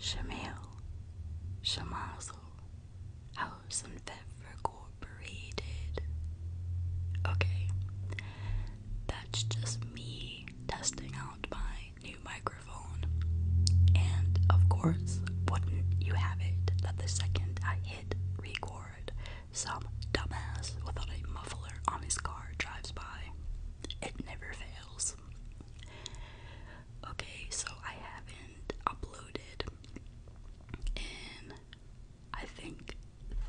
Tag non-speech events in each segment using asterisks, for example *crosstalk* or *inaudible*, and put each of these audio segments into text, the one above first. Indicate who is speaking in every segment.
Speaker 1: Shamil, Shamazel, House and Incorporated. Okay, that's just me testing out my new microphone. And of course, wouldn't you have it that the second I hit record, some dumbass without a muffler on his car drives by. It never fails. Okay, so I haven't uploaded in I think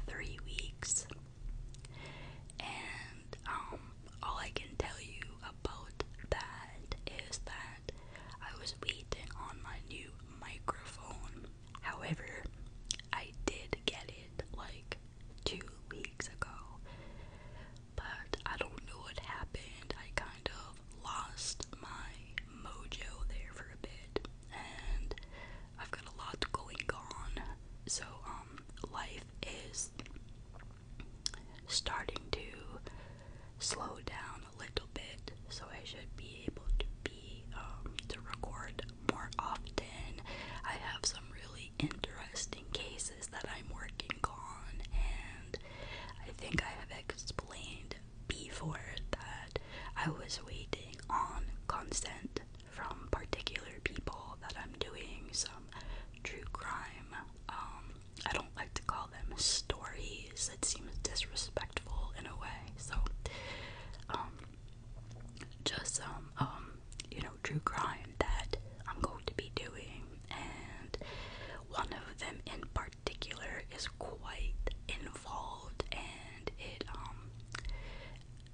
Speaker 1: three weeks, and um, all I can tell you about that is that I was waiting on my new microphone. However, I did get it like two weeks ago, but I don't know what happened. I kind of lost my mojo there for a bit, and I've got a lot going on. So, um, life is starting to slow down a little bit, so I should be able to be um to record more often. I have some really interesting cases that I'm working on, and I think I have explained before that I was waiting on consent from particular people that I'm doing some true crime. Um, I don't like to call them stories, it seems disrespectful in a way, so um, just some, um, you know, true crime that I'm going going to be doing, and one of them in particular is quite involved, and it um,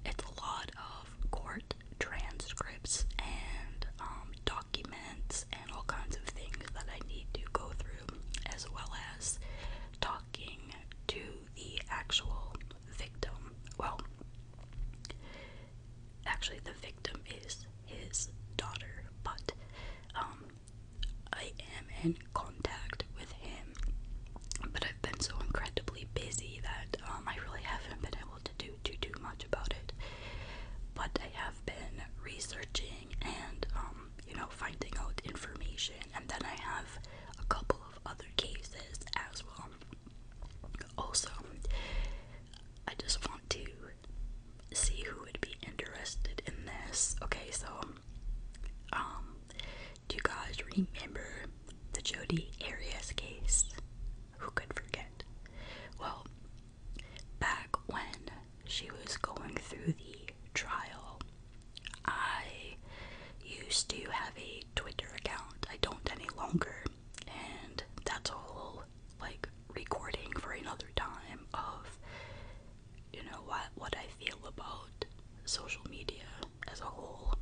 Speaker 1: it's a lot of court transcripts and um, documents and all kinds of things that I need to go through, as well as talking to the actual victim. Well actually the victim is his daughter, but um, I am in contact with him. But I've been so incredibly busy that um, I really haven't been able to do too much about it. But I have been researching and um, you know finding out information, and then I have a couple of other cases as well. Also, I just want to see who would be interested in this. Okay, so um do you guys remember the Jodi Arias case? Who could forget? Well, back when she was going through the trial, I used to have a Twitter account. I don't any longer and that's a like recording for another time of you know what what I feel about social media as a whole.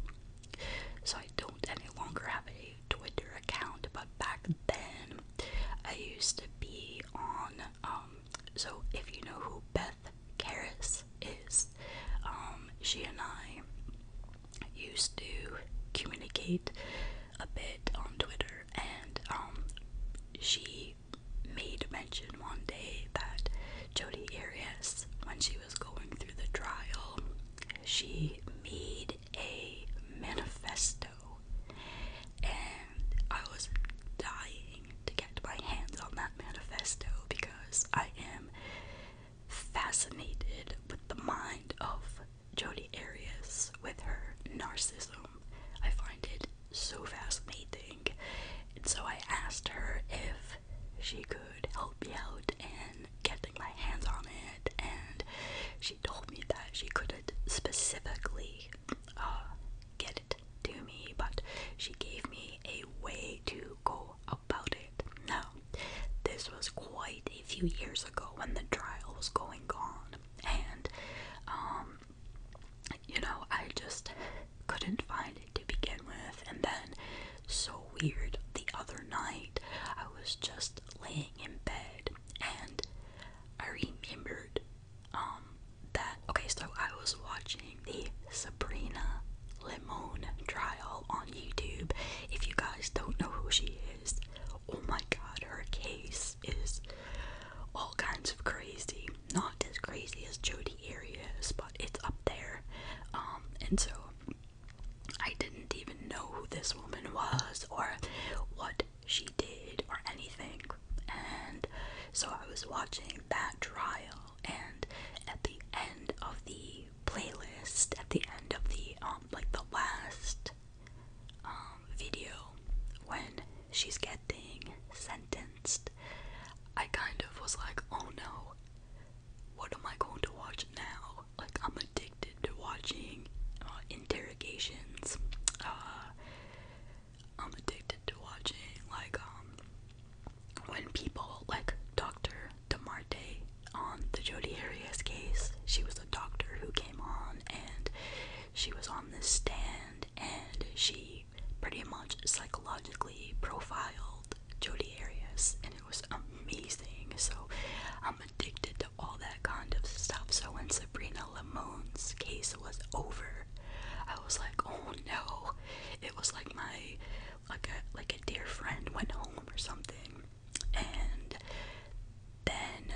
Speaker 1: So I don't any longer have a Twitter account, but back then I used to be on um so if you know who Beth Karras is, um she and I used to communicate a bit on Twitter, and um, she made mention one day that Jodie Arias, when she was going through the trial, she made a manifesto, and I was dying to get my hands on that manifesto because I am fascinated with the mind of Jodi Arias with her narcissism. I find it so fascinating. And so I asked her if she could help me out in getting my hands on it, and she told me that she couldn't specifically uh, get it to me, but she gave me a way to go about it. Now, this was quite a few years ago when the trial was going on, and um, you know, I just couldn't find it to begin with, and then so weird the other night I was just laying in bed and I remembered um, that okay so I was watching the Sabrina Limon trial on YouTube. If you guys don't know who she is, Oh my god, her case is all kinds of crazy. Not as crazy as Jodi Arias, but it's up there. Um, and so I didn't even know who this woman was or what she did or anything. And so I was watching that trial, and at the end of the playlist, at the end of the um, like the last um, video when she's getting sentenced, I kind of was like, oh no, what am I going to watch now? Like, I'm addicted to watching uh, interrogations. Uh, I'm addicted to watching, like, um, when people, like Dr. DeMarte on the Jodi Arias case, she was doctor who came on and she was on the stand and she pretty much psychologically profiled Jodi Arias and it was amazing. So I'm addicted to all that kind of stuff. So when Sabrina Lemon's case was over, I was like, oh no. It was like my like a like a dear friend went home or something. And then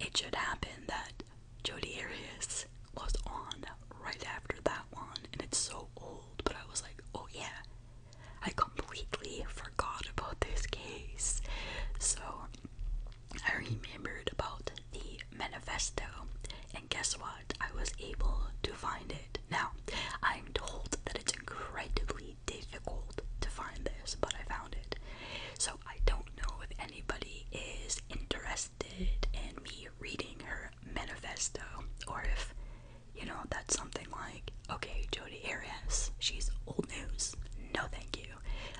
Speaker 1: it should happen that Jodi Arias was on right after that one, and it's so old, but I was like, oh yeah, I completely forgot about this case. So I remembered about the manifesto, and guess what? I was able to find it. Now, I'm told that it's incredibly difficult to find this, but I found it. So I don't know if anybody is interested in me reading her manifesto, or if, you know, that's something like, okay, Jodi Arias, she's old news. No, thank you.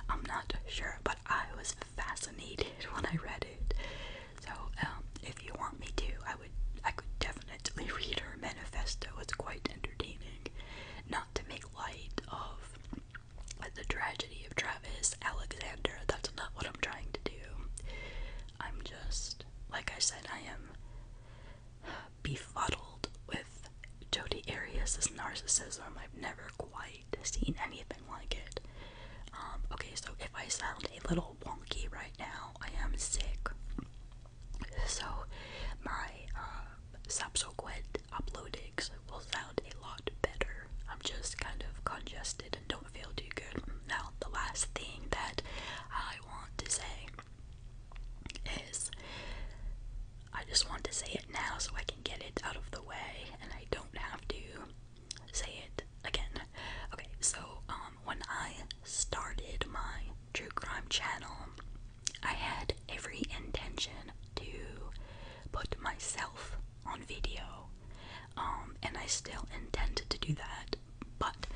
Speaker 1: I'm not sure, but I was fascinated when I read it. So, um, if you want me to, I would, I could definitely read her manifesto. It's quite entertaining. Not to make light of the tragedy of Travis Alexander. That's not what I'm trying to do. I'm just, like I said, I am befuddled with Jodi Arias' narcissism. I've never quite seen anything like it. Um, okay, so if I sound a little wonky right now, I am sick. So, my uh, subsequent uploading will sound a lot better. I'm just kind of congested and don't feel too good. Now, the last thing that I want to say is I just want to say it now so I can get it out of the way and I don't have to say it again. Okay, so um when I started my true crime channel, I had every intention to put myself on video, um, and I still intended to do that, but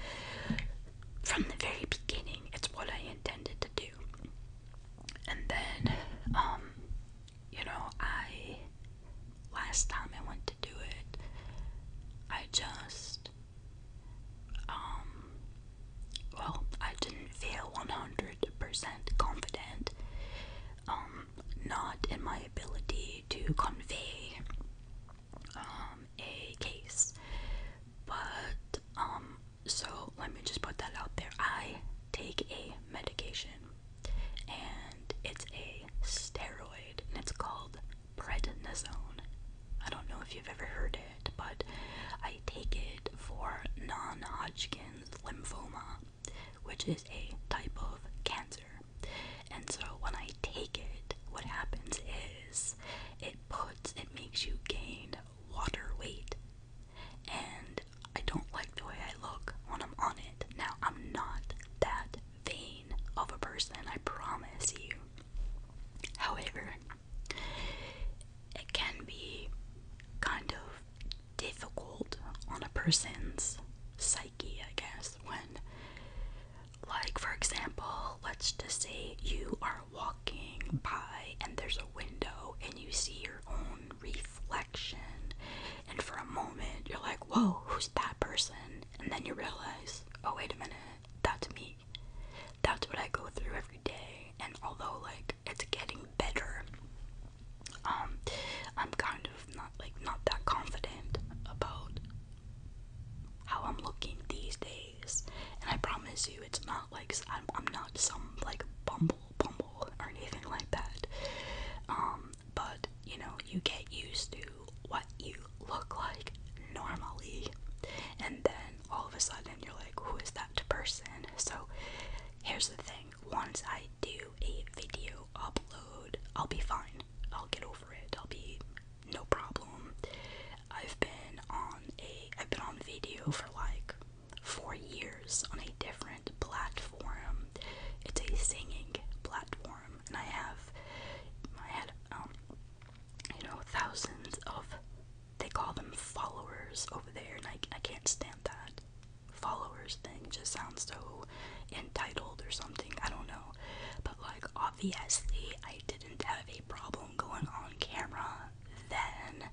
Speaker 1: from the very beginning, it's what I intended to do. And then, um, you know, I last time I went to do it, I just, um, well, I didn't feel 100% confident, um, not in my ability to convey um, a case. But, um, so let me just put that out there. I take a medication and it's a steroid and it's called prednisone. I don't know if you've ever heard it, but I take it for non Hodgkin lymphoma, which is a type of cancer. And so when I take it, what happens is it puts, it makes you gain water weight. And I don't like the way I look when I'm on it. Now, I'm not that vain of a person, I promise you. However, it can be kind of difficult on a person's psyche, I guess, when, like, for example, let's just say you are walking by and there's a window and you see your own reflection, and for a moment you're like, Whoa, who's that person? And then you realize, Oh, wait a minute, that's me. That's what I go through every day, and although, like, it's getting better. Um, I'm kind of not like not that confident about how I'm looking these days, and I promise you, it's not like I'm, I'm not some like bumble bumble or anything like that. Um, but you know, you get used to what you look like normally, and then all of a sudden you're like, who is that person? So Here's the thing once I do a video upload, I'll be fine. I'll get over it. I'll be no problem. I've been on a I've been on video for like 4 years on a different platform. It's a singing platform and I have I had um you know thousands of they call them followers over there, and I, I can't stand that followers thing. Just sounds so entitled or something. I don't know. But, like, obviously, I didn't have a problem going on camera then.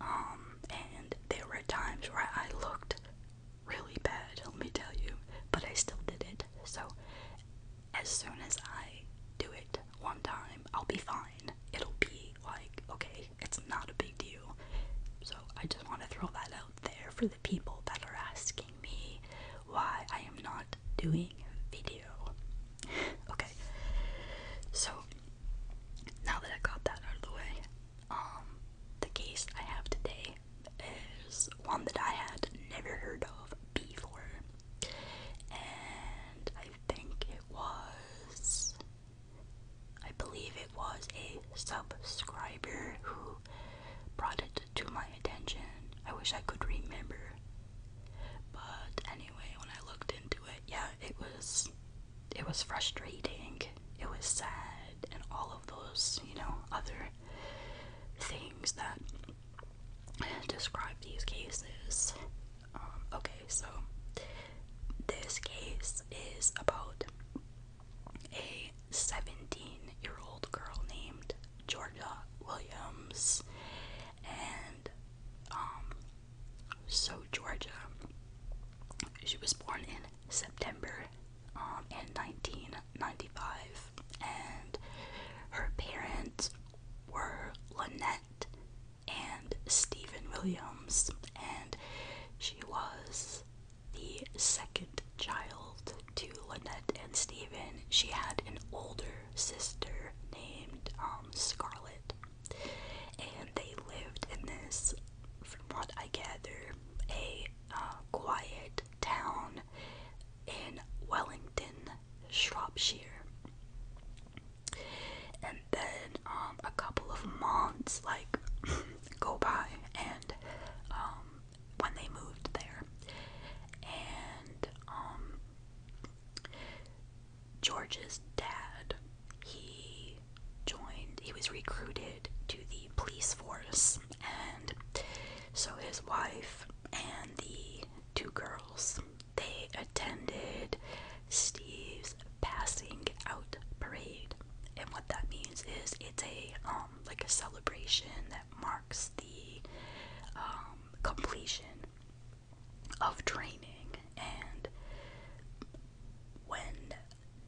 Speaker 1: Um, and there were times where I looked really bad, let me tell you, but I still did it. So, as soon as I do it one time, I'll be fine. It'll be like, okay, it's not a big deal. So I just want to throw that out there for the people that are asking me why I am not doing video. *laughs* okay, so now that I got that out of the way, um, the case I have today is one that I had never heard of before, and I think it was I believe it was a subscriber who brought it to my attention. I wish I could remember. But anyway, when I looked into it, yeah, it was it was frustrating. It was sad and all of those, you know, other things that describe these cases. Um, okay, so this case is about a 17 year old girl named Georgia Williams. And, um, so Georgia, she was born in September um, in 1995, and her parents were Lynette and Stephen Williams, and she was the second child to Lynette and Stephen. She had an older sister named um, Scarlett, and they lived in this, from what I gather, a uh, quiet town in Wellington, Shropshire and then um, a couple of months like *clears throat* go by and um, when they moved there and um, George's dad he joined he was recruited to the police force and so his wife and the two girls they attended Steve's passing out parade. And what that means is it's a um like a celebration that marks the um, completion of training and when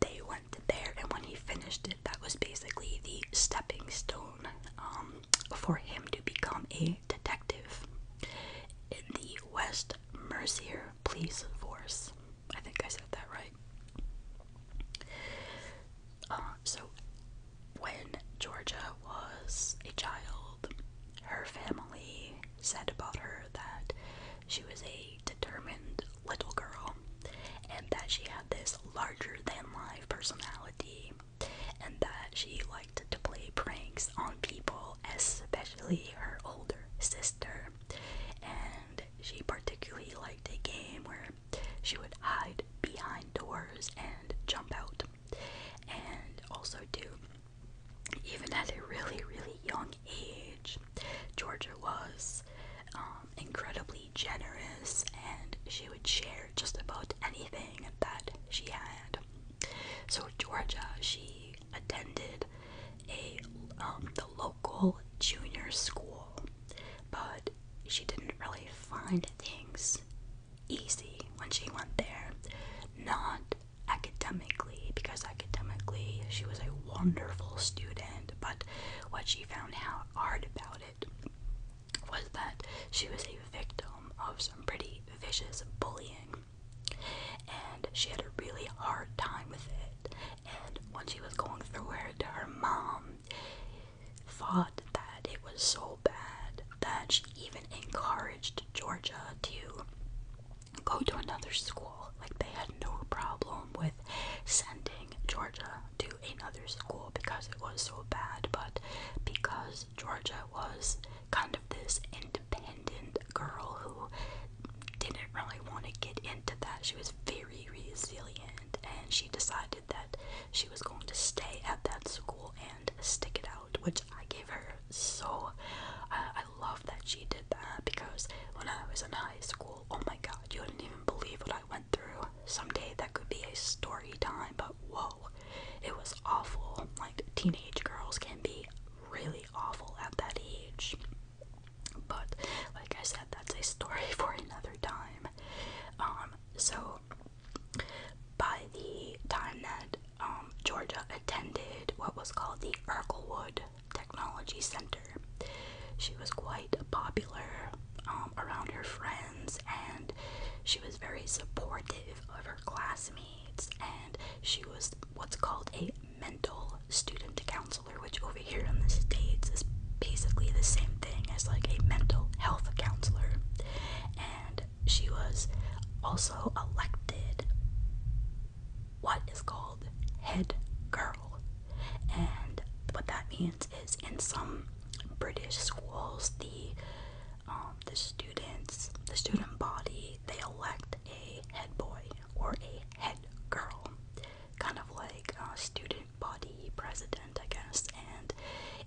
Speaker 1: they went there and when he finished it that was basically the stepping stone um, for him to become a detective in the West Mercia police force. I think I said that right. Uh, so, when Georgia was a child, her family said about her that she was a determined little girl and that she had this larger than life personality and that she liked to play pranks on people especially her older sister. And she particularly liked a game where she would hide behind doors and jump out. And also, do. even at a really, really young age, Georgia was um, incredibly generous and she would share just about anything that she had. So, Georgia, she attended a um, the local junior school, but she didn't really find things easy when she went there. Not academically, because academically she was a wonderful student, but what she found hard about it was that she was a victim of some pretty vicious bullying and she had a really hard time with it. And when she was going through it, her mom thought that it was so bad that she even encouraged Georgia to go to another school. Like they had no problem with sending Georgia to another school because it was so bad, but because Georgia was kind of this independent independent girl who didn't really want to get into that. She was very resilient and she decided that she was going to stay at that school and stick it out, which I gave her so. Uh, I love that she did that because when I was in high school, oh my god, you wouldn't even believe what I went through. Some day that could be a story time, but whoa, it was awful. Like, teenage girls can be really awful at that age. But like I said, that's a story *laughs* for another time. Um, so by the time that um, Georgia attended what was called the Urkelwood Technology Center, she was quite popular um, around her friends, and she was very supportive of her classmates she was what's called a mental student counselor, which over here in the States is basically the same thing as like a mental health counselor. And she was also elected what is called head girl. And what that means is in some British schools, the um, the students, the student body, they elect a head boy, or a head girl, kind of like a student body president, I guess. And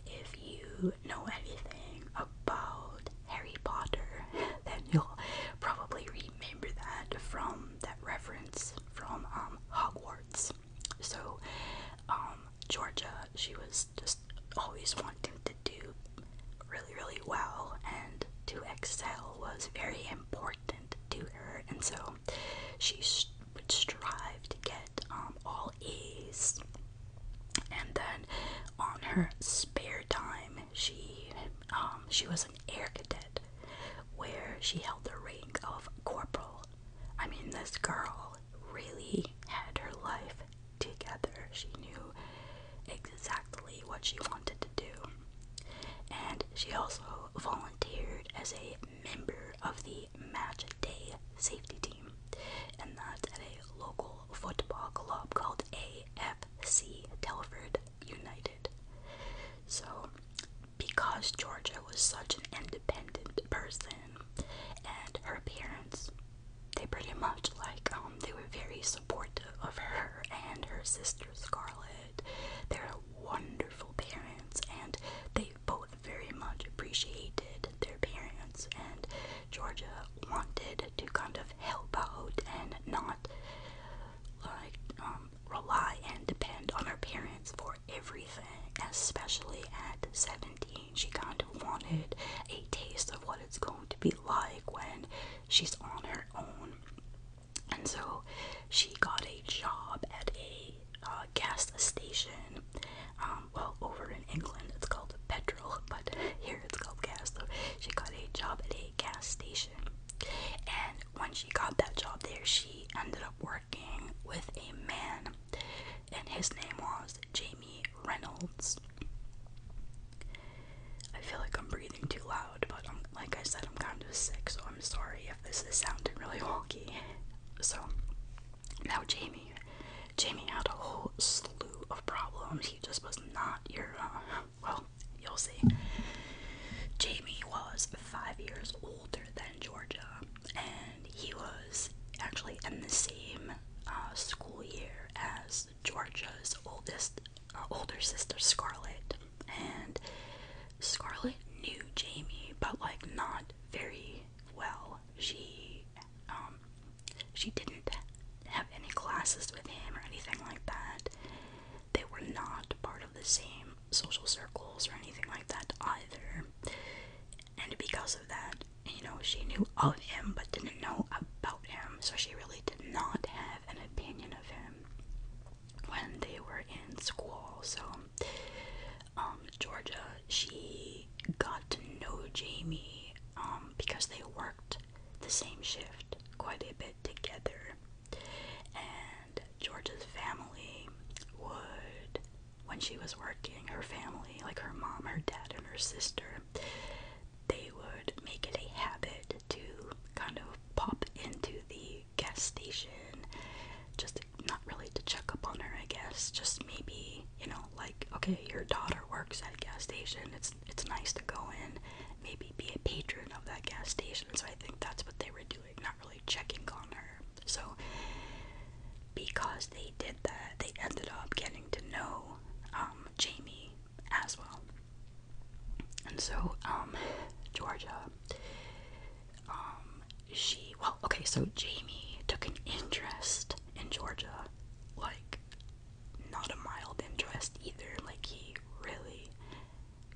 Speaker 1: if you know anything about Harry Potter, *laughs* then you'll probably remember that from that reference from um, Hogwarts. So, um, Georgia, she was just always wanting to do really, really well, and to excel was very important to her, and so she would strive to get um, all A's. And then on her spare time, she um, she was an air cadet, where she held the rank of corporal. I mean, this girl really had her life together. She knew exactly what she wanted to do. And she also volunteered as a member of the match day safety team, and that's at a local football club called AFC Telford United. So, because Georgia was such an independent person, and her parents, they pretty much like um they were very supportive of her and her sister Scarlett they're wonderful parents, and they both very much appreciated their parents. And Georgia wanted to kind of help out and not like um, rely and depend on her parents for everything, especially at 17. She kind of wanted a taste of what it's going to be like when she's on her own. And so she got a job at a uh, gas station. Um, well, over in England it's called petrol, *laughs* but here it's called gas. So she got a job at a gas station. And when she got that job there, she ended up working with a man, and his name was Jamie Reynolds. I feel like I'm breathing too loud, but like I said, I'm kind of sick, so I'm sorry if this is sounding really wonky. So, now Jamie. Jamie had a whole slew of problems. He just was not your, uh, well, you'll see. Jamie was five years older than Georgia, and he was actually in the same uh, school year as Georgia's oldest, uh, older sister Scarlett and Scarlett knew Jamie, but like not very well. She um she didn't have any classes with him or anything like that. They were not part of the same social circles or anything like that either. And because of that, you know, she knew of him but didn't know about him, so she really did not have an opinion of him when they were in school. So, um, Georgia, she got to know Jamie um, because they worked the same shift quite a bit together. And Georgia's family would, when she was working, her family, like her mom, her dad, and her sister, they would make it a habit to kind of pop into the gas station, just not really to check up on her, I guess. Just maybe, you know, like okay, your daughter works at a gas station. It's it's nice to go in, maybe be a patron of that gas station. So I think that's what they were doing, not really checking on her. So because they did that, they ended up getting to know um, Jamie as well. And so, um, Georgia, um, she, well, okay, so Jamie took an interest in Georgia, like, not a mild interest either, like, he really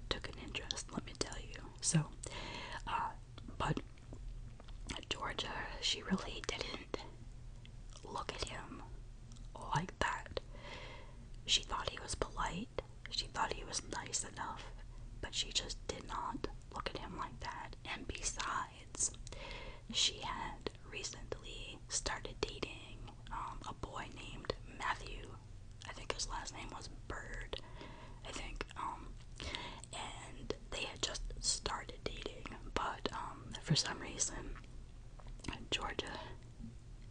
Speaker 1: took an interest, let me tell you. So, uh, but Georgia, she really didn't look at him like that. She thought he was polite she thought he was nice enough, but she just did not look at him like that. And besides, she had recently started dating um, a boy named Matthew. I think his last name was Bird. I think. Um, and they had just started dating, but um, for some reason, Georgia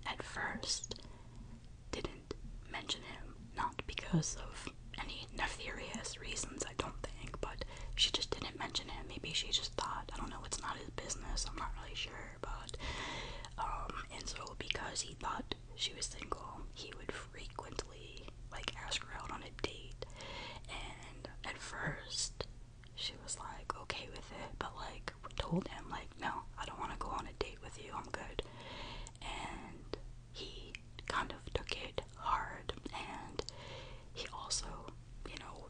Speaker 1: at first didn't mention him, not because of any nefarious reasons, I don't think, but she just didn't mention him. Maybe she just thought, I don't know, it's not his business, I'm not really sure, but, um, and so because he thought she was single, he would frequently, like, ask her out on a date, and at first, she was like okay with it, but like like told him like no I don't want to go on a date with you I'm good and he kind of took it hard and he also you know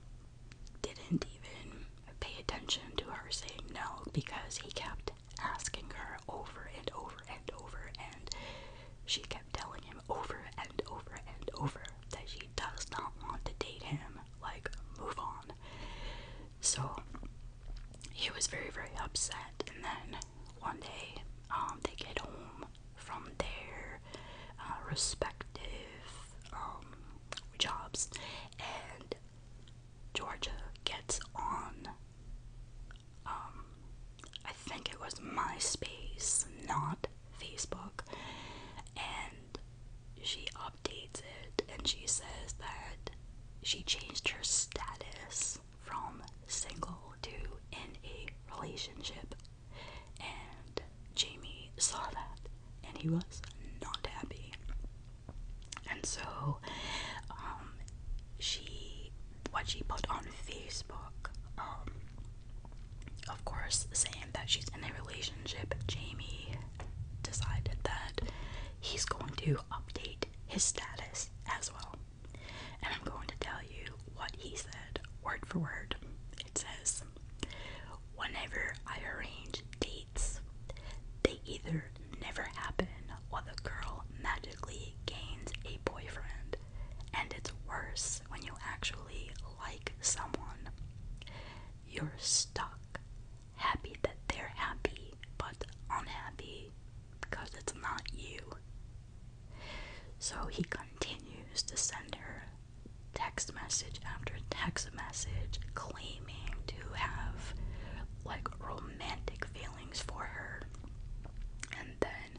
Speaker 1: didn't even pay attention to her saying no because he kept asking her over and over and over and she kept telling him over and over and over that she does not want to date him like move on so he was very, very upset. And then one day, um, they get home from their uh, respective um, jobs, and Georgia gets on. Um, I think it was MySpace, not Facebook, and she updates it and she says that she changed her status from single to in a relationship. And Jamie saw that and he was not happy. And so, um, she, what she put on Facebook, um, of course, saying that she's in a relationship, Jamie decided that he's going to update his status as well. And I'm going to tell you what he said word for word. It says, Whenever I arrange dates, they either never happen or the girl magically gains a boyfriend. And it's worse when you actually like someone. You're stuck happy that they're happy, but unhappy because it's not you. So he continues to send her text message after text message claiming to have like romantic feelings for her. And then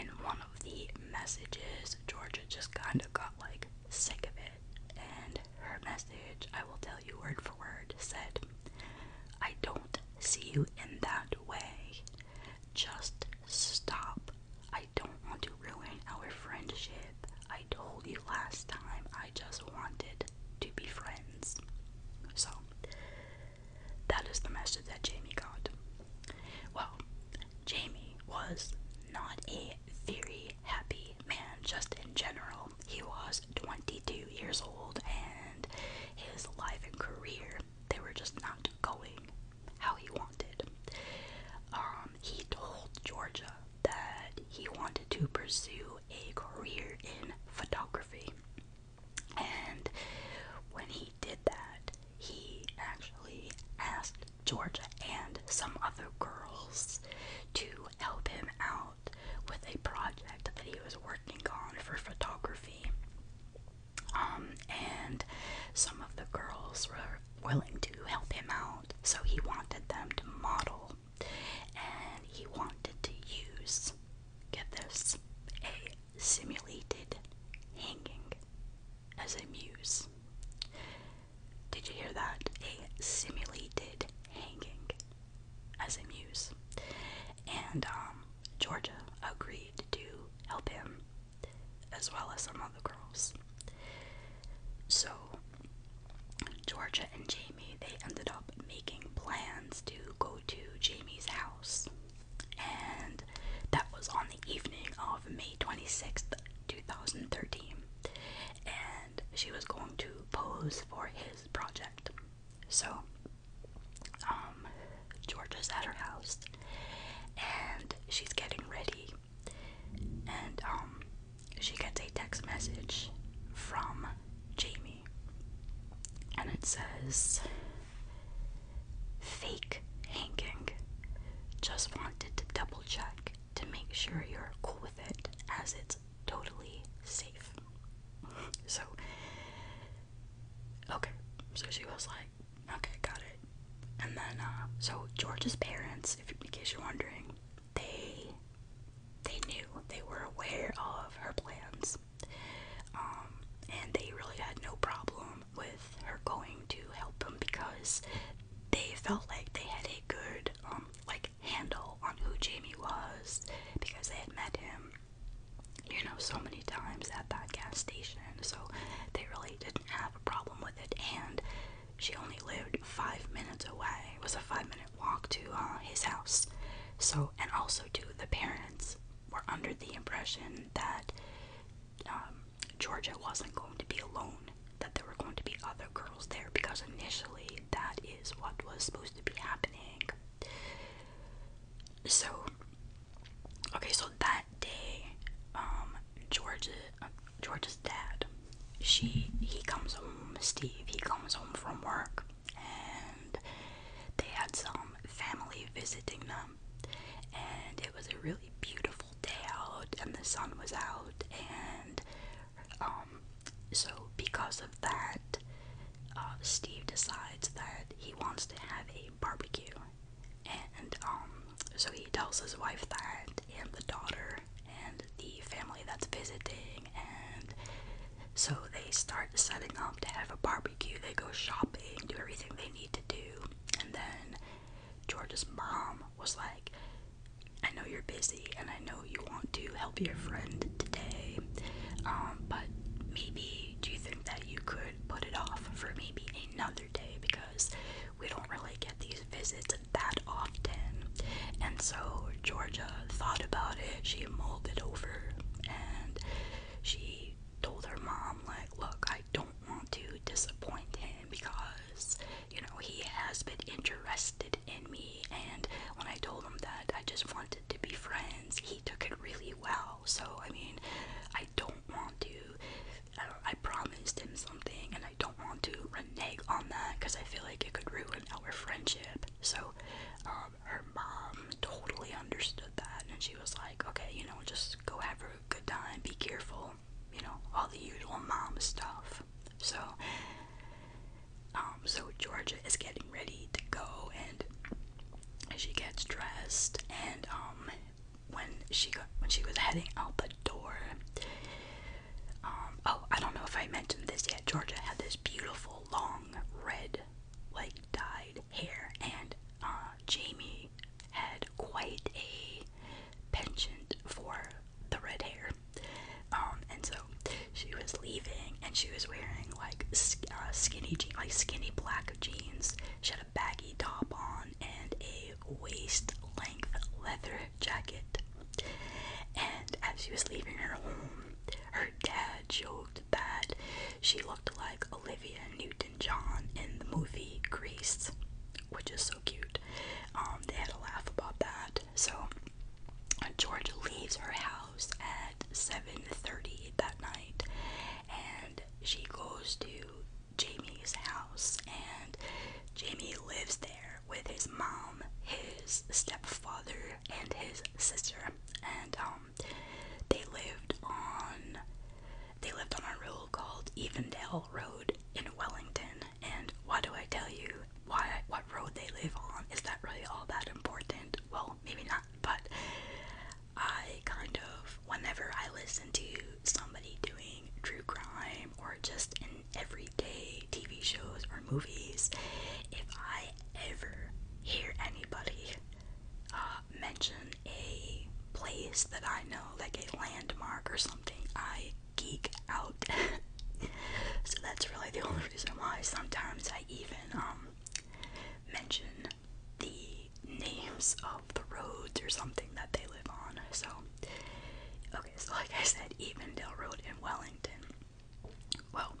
Speaker 1: in one of the messages, Georgia just kind of got like sick of it. And her message, I will tell you word for said, I don't see you in that way. Just stop. I don't want to ruin our friendship. I told you last time I just wanted to be friends. So, that is the message that Jamie got. Well, Jamie was not a very happy man, just in general. He was 22 years old and his life and career they were just not going how he wanted. Um, he told Georgia that he wanted to pursue a career in photography. And when he did that, he actually asked Georgia and some other girls to help him out with a project that he was working on for photography. Um, and some of the girls were willing to help him out, so he wanted them to model and he wanted to use get this a simulated hanging as a muse. Did you hear that? A simulated hanging SMU's, and um, Georgia agreed to help him as well as some other girls. So Georgia and Jamie they ended up making plans to go to Jamie's house, and that was on the evening of May 26th, 2013. And she was going to pose for his project. So, um, Georgia's at her house and she's getting ready, and um, she gets a text message from Jamie, and it says, Fake hanky. Just wanted to double check to make sure you're cool with it, as it's totally safe. So, okay. So she was like, okay, got it. And then, uh, so George's parents, if in case you're wondering, they they knew they were aware of her plans, um, and they really had no problem with her going to help them because they felt like they had a good um like like handle on who Jamie was because they had met him, you know, so many times at that gas station. So they really didn't have a problem with it. And she only lived five minutes away. It was a five minute walk to uh, his house. So, and also, too, the parents were under the impression that um, Georgia wasn't going to be alone, that there were going to be other girls there because initially that is what was supposed to be happening. So, okay, so that day, um, Georgia, uh, Georgia's dad, she he comes home. Steve, he comes home from work, and they had some family visiting them, and it was a really beautiful day out, and the sun was out, and um, so because of that, uh, Steve decides that he wants to have a barbecue, and um, so he tells his wife that, and the daughter, and the family that's visiting, and so they start setting up to have a barbecue. They go shopping, do everything they need to do, and then George's mom was like, I know you're busy and I know know you want to help your friend today, um, but maybe do you think that you could put it off for maybe another day because we don't really get these visits that often? And so Georgia thought about it, she mulled it over, and she told her mom, like, look, I don't want to disappoint him because, you know, he has been interested in me. And when I told him that I just wanted to be friends. He took it really well. So I mean, I don't want to. I, promised him something, and I don't want to reneg on that because I feel like it could ruin our friendship. So, um, her mom totally understood that, and she was like, "Okay, you know, just go have a good time. Be careful." You know, all the usual mom stuff. So, um, so Georgia is getting ready to go, and she gets dressed. And um, when she got when she was heading out the door, um, oh, I don't know if I mentioned this yet. Georgia had this beautiful long red, like dyed hair, and uh, Jamie had quite a penchant for the red hair. Um, and so she was leaving, and she was wearing like uh, skinny jeans, like skinny black jeans. She had a baggy top on and a waist length leather jacket. And as she was leaving her home, her dad joked that she looked like Olivia Newton-John in the movie Grease, which is so cute. Um, they had a laugh about that. So George leaves her house at 7:30 that night and she goes to Jamie's house and Jamie lives there with his mom, his stepfather and his sister and um they lived on they lived on a road called Evendale Road in Wellington and what do I tell you why what road they live on is that really all that important well maybe not but i kind of whenever i listen to somebody doing true crime or just in everyday tv shows or movies if i ever hear anybody uh, mention a place that i know like a landmark or something i geek out *laughs* so that's really the only reason why sometimes I even um mention the names of the roads or something that they live on. So okay, so like I said, Evandale Road in Wellington. Well,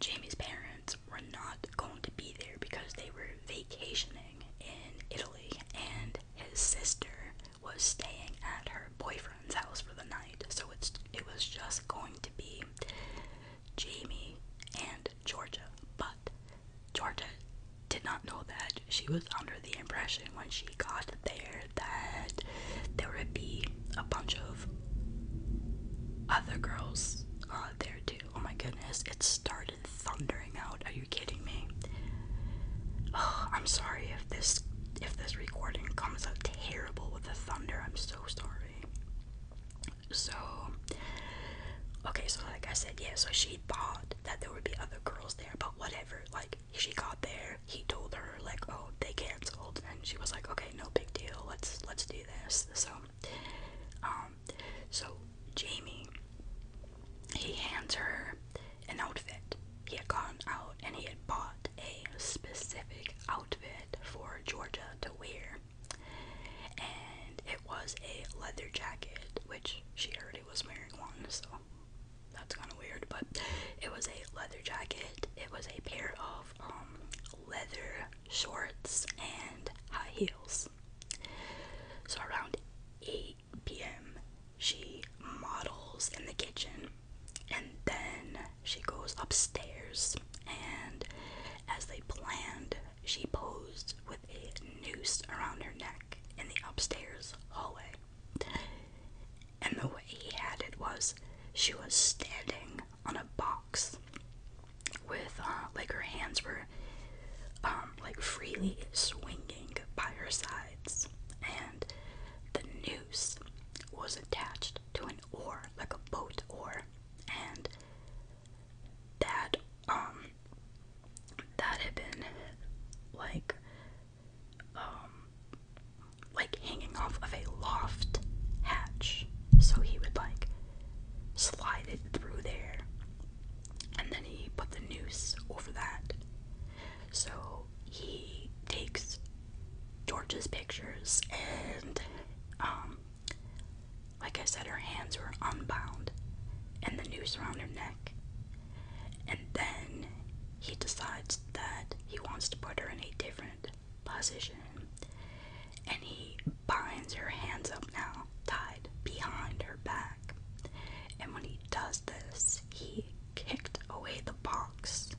Speaker 1: Jamie's parents were not going to be there because they were vacationing in Italy and his sister was staying at her boyfriend's house for the night. So it's it was just going to be Jamie and Georgia, but Georgia did not know that. She was under the impression when she got there that there would be a bunch of other girls uh, there too. Oh my goodness, it started thundering out. Are you kidding me? I'm sorry if this if this recording comes out terrible with the thunder. I'm so sorry. So, okay, so like I said, yeah, so she thought that there would be other girls there, but whatever. Like, she got there, he told her, like, oh, they canceled, and she was like, okay, no big deal, let's, let's do this. So, um, so Jamie, he hands her an outfit he had gone out and he had bought a specific outfit for Georgia to wear. And it was a leather jacket, which she already was wearing one, so that's kind of weird. But it was a leather jacket, it was a pair of um, leather shorts and high heels. So around 8 p.m., she models in the kitchen and then she goes upstairs, and as they planned, she posed with a noose around her neck in the upstairs hallway. And the way he had it was she was standing on a box with, uh, like, her hands were, um, like, freely swinging by her sides, and the noose was attached to an an like a boat or, and that um that had been like um like hanging off of a loft hatch. So he would like slide it through there and then he put the noose over that. So he takes George's pictures, and um, like I said, her hands were unbound and the noose around her neck. And then he decides that he wants to put her in a different position and he binds her hands up now, tied behind her back. And when he does this, he kicked away the box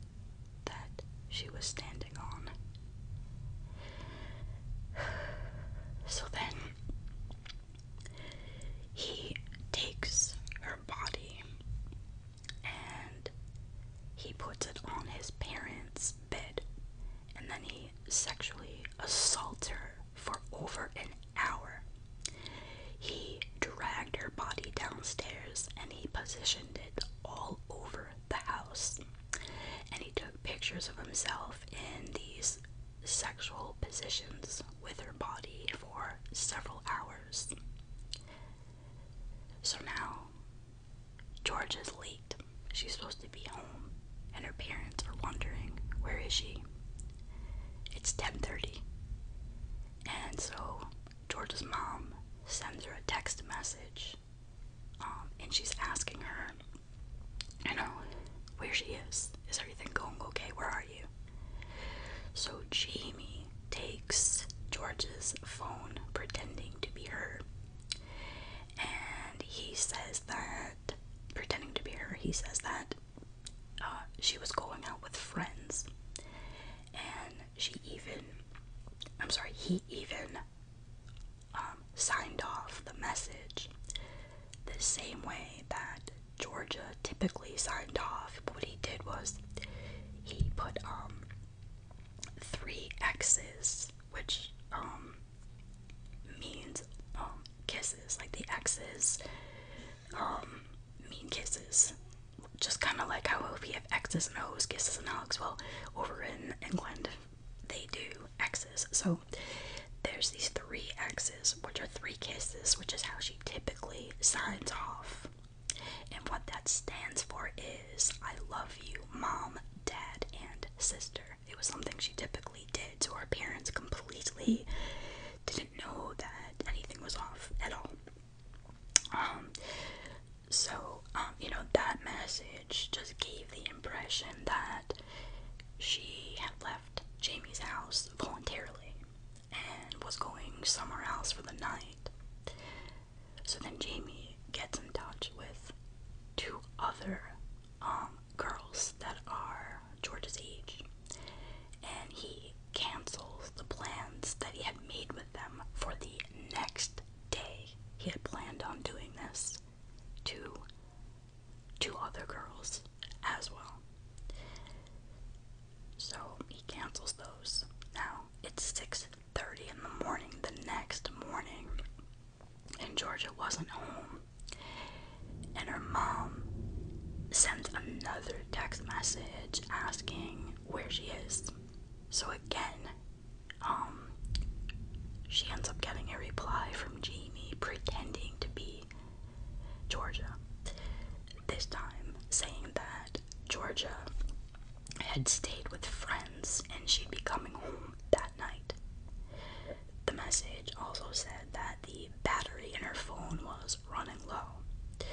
Speaker 1: that she was standing on. *sighs* So then he takes her body and he puts it on his parents' bed and then he sexually assaults her for over an hour. He dragged her body downstairs and he positioned it all over the house. And he took pictures of himself in these sexual positions with her body for several hours. So now, George is late. She's supposed to be home, and her parents are wondering, where is she? It's 10:30. And so George's mom sends her a text message um, and she's asking her, you know, where she is. Is everything going okay? Where are you? So Jamie takes George's phone, pretending to be her. And he says that, pretending to be her, he says that uh, she was going out with friends. And she even, I'm sorry, he even um, signed off the message the same way that Georgia typically signed off. But what he did was he put um, three X's, which um, means kisses, like the X's mean kisses. Just kind of like how if we have X's and O's, kisses and hugs. Well, over in England, they do X's. So there's these three X's, which are three kisses, which is how she typically signs off. And what that stands for is I love you, mom, dad, and sister. It was something she typically did, so her parents completely didn't know that anything was off at all. Um, so, um, you know, that message just gave the impression that she had left Jamie's house voluntarily and was going somewhere else for the night. So then Jamie gets in touch with two other um, girls that are George's age, and he cancels the plans that he had made with them for the next day he had planned on doing this to two other girls as well. So he cancels those. Now it's 6:30 in the morning the next morning and Georgia wasn't home. And her mom sent another text message asking where she is. So again, um, she ends up getting a reply from Jamie pretending to be Georgia. This time, saying that Georgia had stayed with friends and she'd be coming home that night. The message also said that the battery in her phone was running low.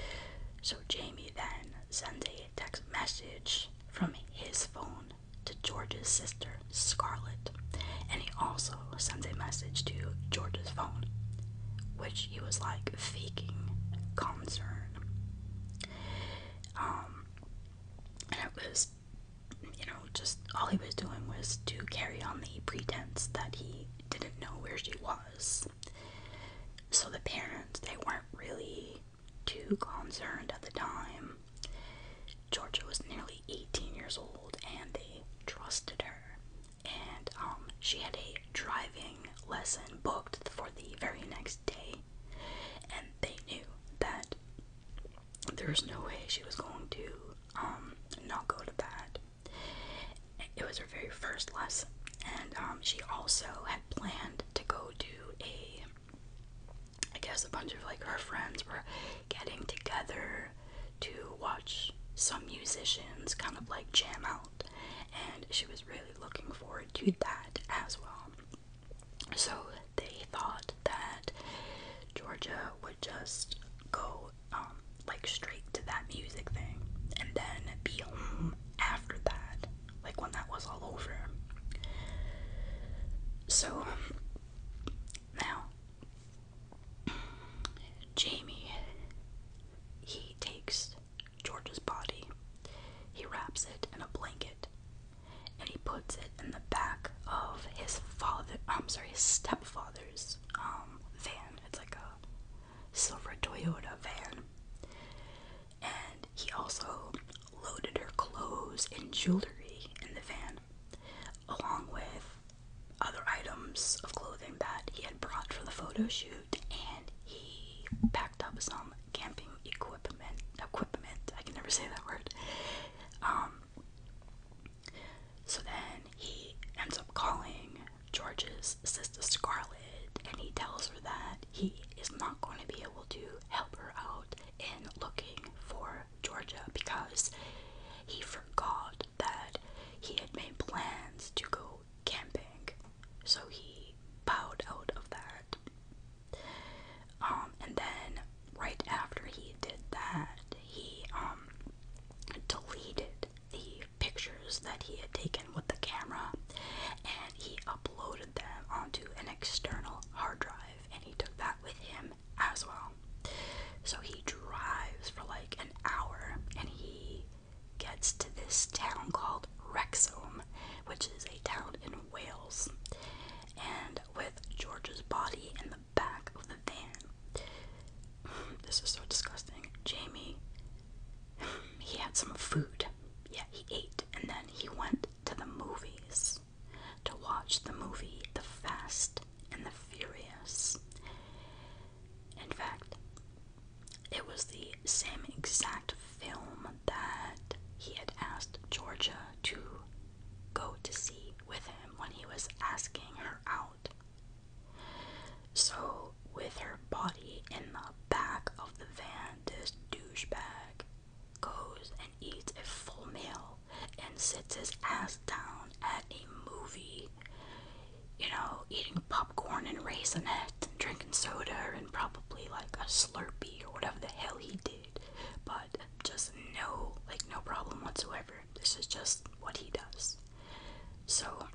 Speaker 1: So Jamie then sends a text message from his phone to George's sister, Scarlett, and he also sends a message to George's phone, which he was like faking concern. Um, and it was, you know, just all he was doing was to carry on the pretense that he didn't know where she was. So the parents, they weren't really too concerned at the time. Georgia was nearly 18 years old and they trusted her. And um, she had a driving lesson booked for the very next day. And they knew that there was no way she was going to um, not go to that. It was her very first lesson. And um, she also had planned to go to a I guess a bunch of like her friends were getting together to watch some musicians kind of like jam out, and she was really looking forward to that as well. So they thought that Georgia would just go um, like straight to that music thing and then be home after that like when that was all over. So now Jamie he takes George's body, he wraps it in a blanket, and he puts it in the back of his father I'm sorry, his stepfather's um van. It's like a silver Toyota van. And he also loaded her clothes and jewelry in the van, along with other items of clothing that he had brought for the photo shoot, and he packed up some camping equipment. Equipment. I can never say that word. Um. So then he ends up calling George's sister Scarlett, and he tells her that he is not going to be able to help her out in looking for Georgia because he forgot that he had made plans to go camping. So he bowed out of that. Um, and then right after he did that, he um deleted the pictures that he had taken with the camera and he uploaded them onto external hard drive, and he took that with him as well. So he drives for like an hour and he gets to this town called Wrexham, which is a town in Wales. And with George's body in the back of the van, this is so disgusting. Jamie, he had some food. Yeah, he ate, and then he went to the movies to watch the movie The Fast and the Furious. In fact, it was the same exact film that he had asked Georgia to go to see with him when he was asking her out. So, with her body in the back of the van, this douchebag goes and eats a full meal and sits his ass down at a movie, you know, eating popcorn and raisinette and drinking soda and probably like a Slurpee or whatever the hell he did, but just no, like, no problem whatsoever. This is just what he does. So,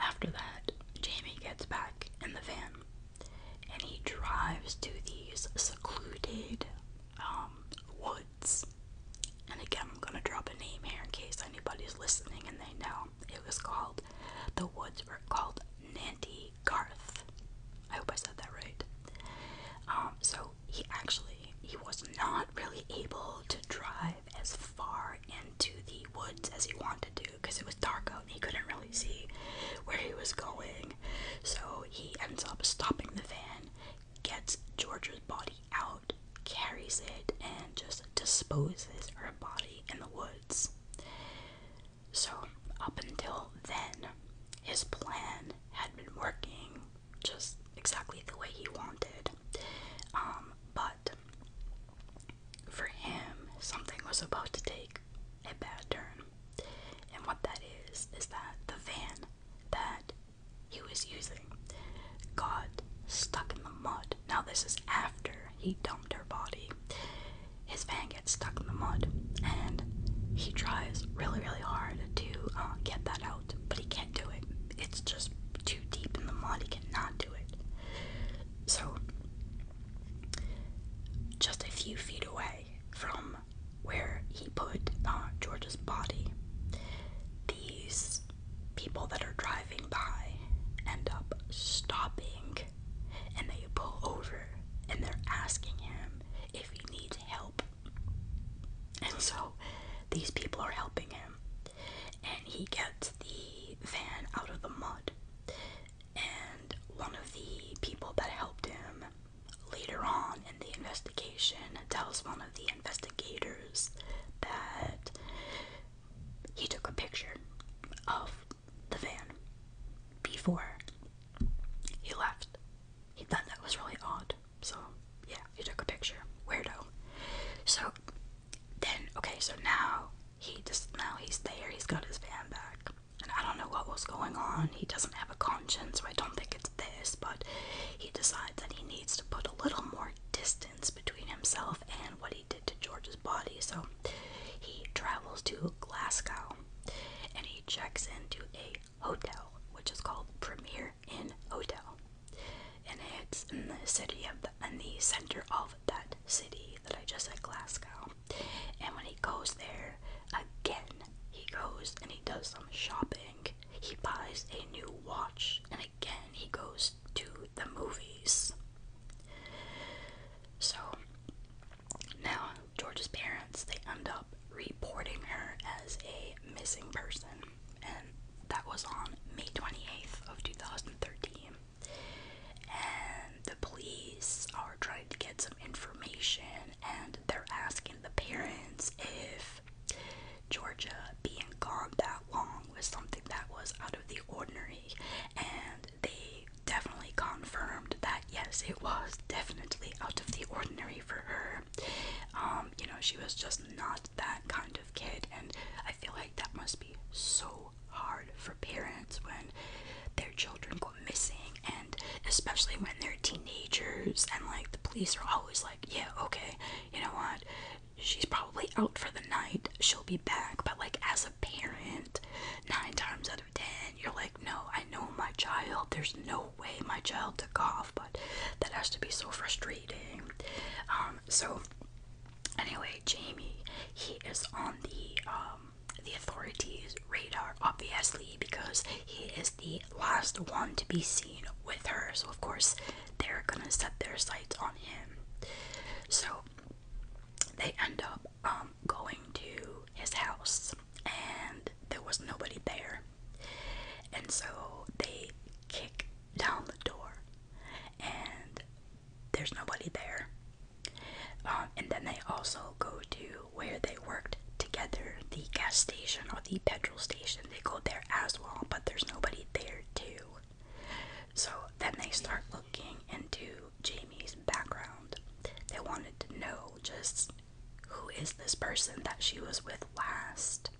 Speaker 1: after that, Jamie gets back in the van and he drives to these secluded um, woods. And again, I'm gonna drop a name here in case anybody's listening and they know. It was called, the woods were called Nanty Garth. I hope I said that right. Um, so he actually, he was not really able to drive as far into the woods as he wanted do because it was dark out and he couldn't really see where he was going. So he ends up stopping the van, gets Georgia's body out, carries it, and just disposes her body in the woods. So, up until then, his plan had been working just exactly the way he wanted. Um, but for him, something was about to take a bad turn. And what that is, is that the van that he was using got stuck in the mud. Now, this is after he dumped her body. His van gets stuck in the mud, and he tries really, really hard to uh, get that out, but he can't do it. It's just too deep in the mud, he cannot do it. So, just a few feet away from where he put George's body, these people that are driving by end up stopping and they pull over and they're asking him if he needs help. And so these people are helping him, and he gets the van out of the mud and one of the people that helped him later on in the investigation tells one of the investigators that he took a picture of the van before he left. He thought that was really odd. So, yeah, he took a picture. Weirdo. So, then, okay, so now he just, now he's there. He's got his van back. And I don't know what was going on. He doesn't have a conscience, so I don't think it's this, but he decides that he needs to put a little more distance between himself and what he did to George's body. So he travels to Glasgow and he checks into a hotel, which is called Premier Inn Hotel. And it's in the city of in the center of that city that I just said, Glasgow. And when he goes there again, he goes and he does some shopping. He buys a new watch, and again, he goes to the movies. So now, George's parents they end up reporting her as a missing person, and that was on May 28th of 2013. And the police are trying to get some information and they're asking the parents if Georgia being gone that long was something that was out of the ordinary and they definitely confirmed that yes it was definitely out of the ordinary for her um, you know she was just not that kind of kid and i feel like that must be so hard for parents when their children go missing, and especially when they're teenagers, and like the police are always like, Yeah, okay, you know what? She's probably out for the night, she'll be back. But like, as a parent, nine times out of ten, you're like, No, I know my child, there's no way my child took off, but that has to be so frustrating. Um, so anyway, Jamie, he is on the um the authorities' radar, obviously, because he is the last one to be seen with her. So, of course, they're gonna set their sights on him. So, they end up um, going to his house, and there was nobody there. And so they kick down the door, and there's nobody there. Um, and then they also go to where they worked together, the gas station or the petrol station. They go there as well, but there's nobody there too. So then they start looking into Jamie's background. They wanted to know just who is this person that she was with last.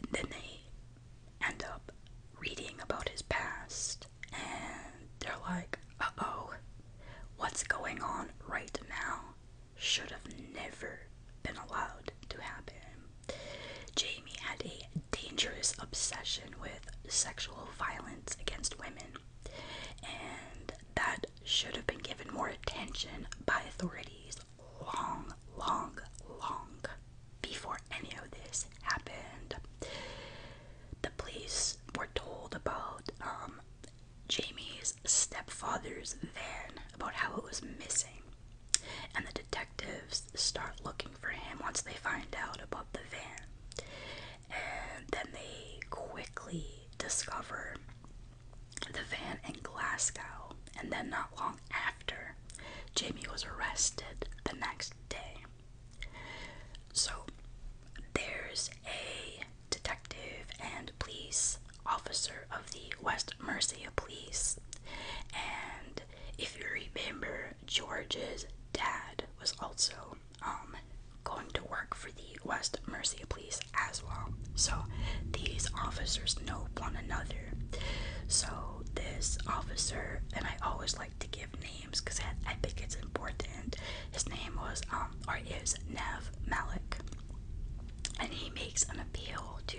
Speaker 1: And then they end up reading about his past and they're like, uh oh, what's going on right now should have never been allowed to happen. Jamie had a dangerous obsession with sexual violence against women, and that should have been given more attention by authorities long, long, long before any of this happened the police were told about um, Jamie's stepfather's van, about how it was missing. And the detectives start looking for him once they find out about the van. And then they quickly discover the van in Glasgow. And then, not long after, Jamie was arrested the next day. So there's a detective and police officer of the West Mercia Police, and if you remember, George's dad was also um going to work for the West Mercia Police as well. So these officers know one another. So this officer, and I always like to give names because I, think it's important. His name was um, or is Nev Malik, and he makes an appeal to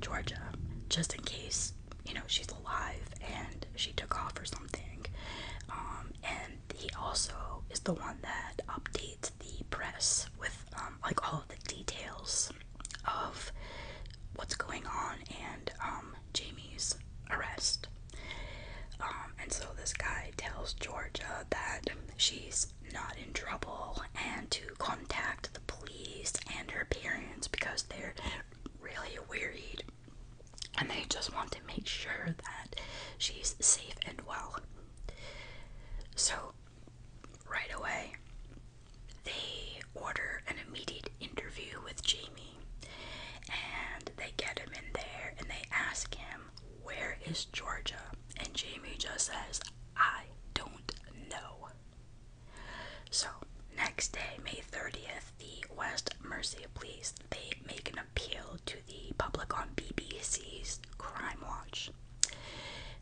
Speaker 1: Georgia just in case you know she's alive and she took off or something. Um, and he also is the one that updates the press with um, like all the details of what's going on and Jamie's arrest. Um, and so this guy tells Georgia that she's not in trouble and to contact the police and her parents because they're really worried and they just want to make sure that she's safe and well. So, right away, they order an immediate interview with Jamie and they get him in there and they ask him, Where is Georgia? And Jamie just says, I don't know. So, next day, May 30th, the West Mercia police they make an appeal to the public on BBC's Crime Watch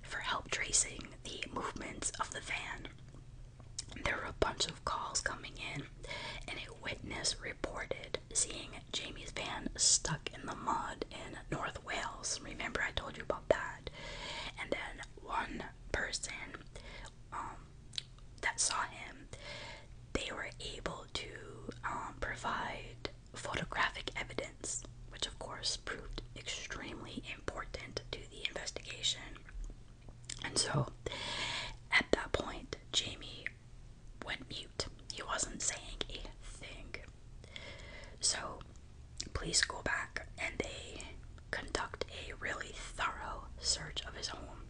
Speaker 1: for help tracing the movements of the van. There are a bunch of calls coming in, and a witness reported seeing Jamie's van stuck in the mud in North Wales. Remember, I told you about that. And then one person um, that saw him, they were able to um, provide photographic evidence, which of course proved extremely important to the investigation. And so at that point, Jamie went mute. He wasn't saying a thing. So police go back and they conduct a really thorough search of his home.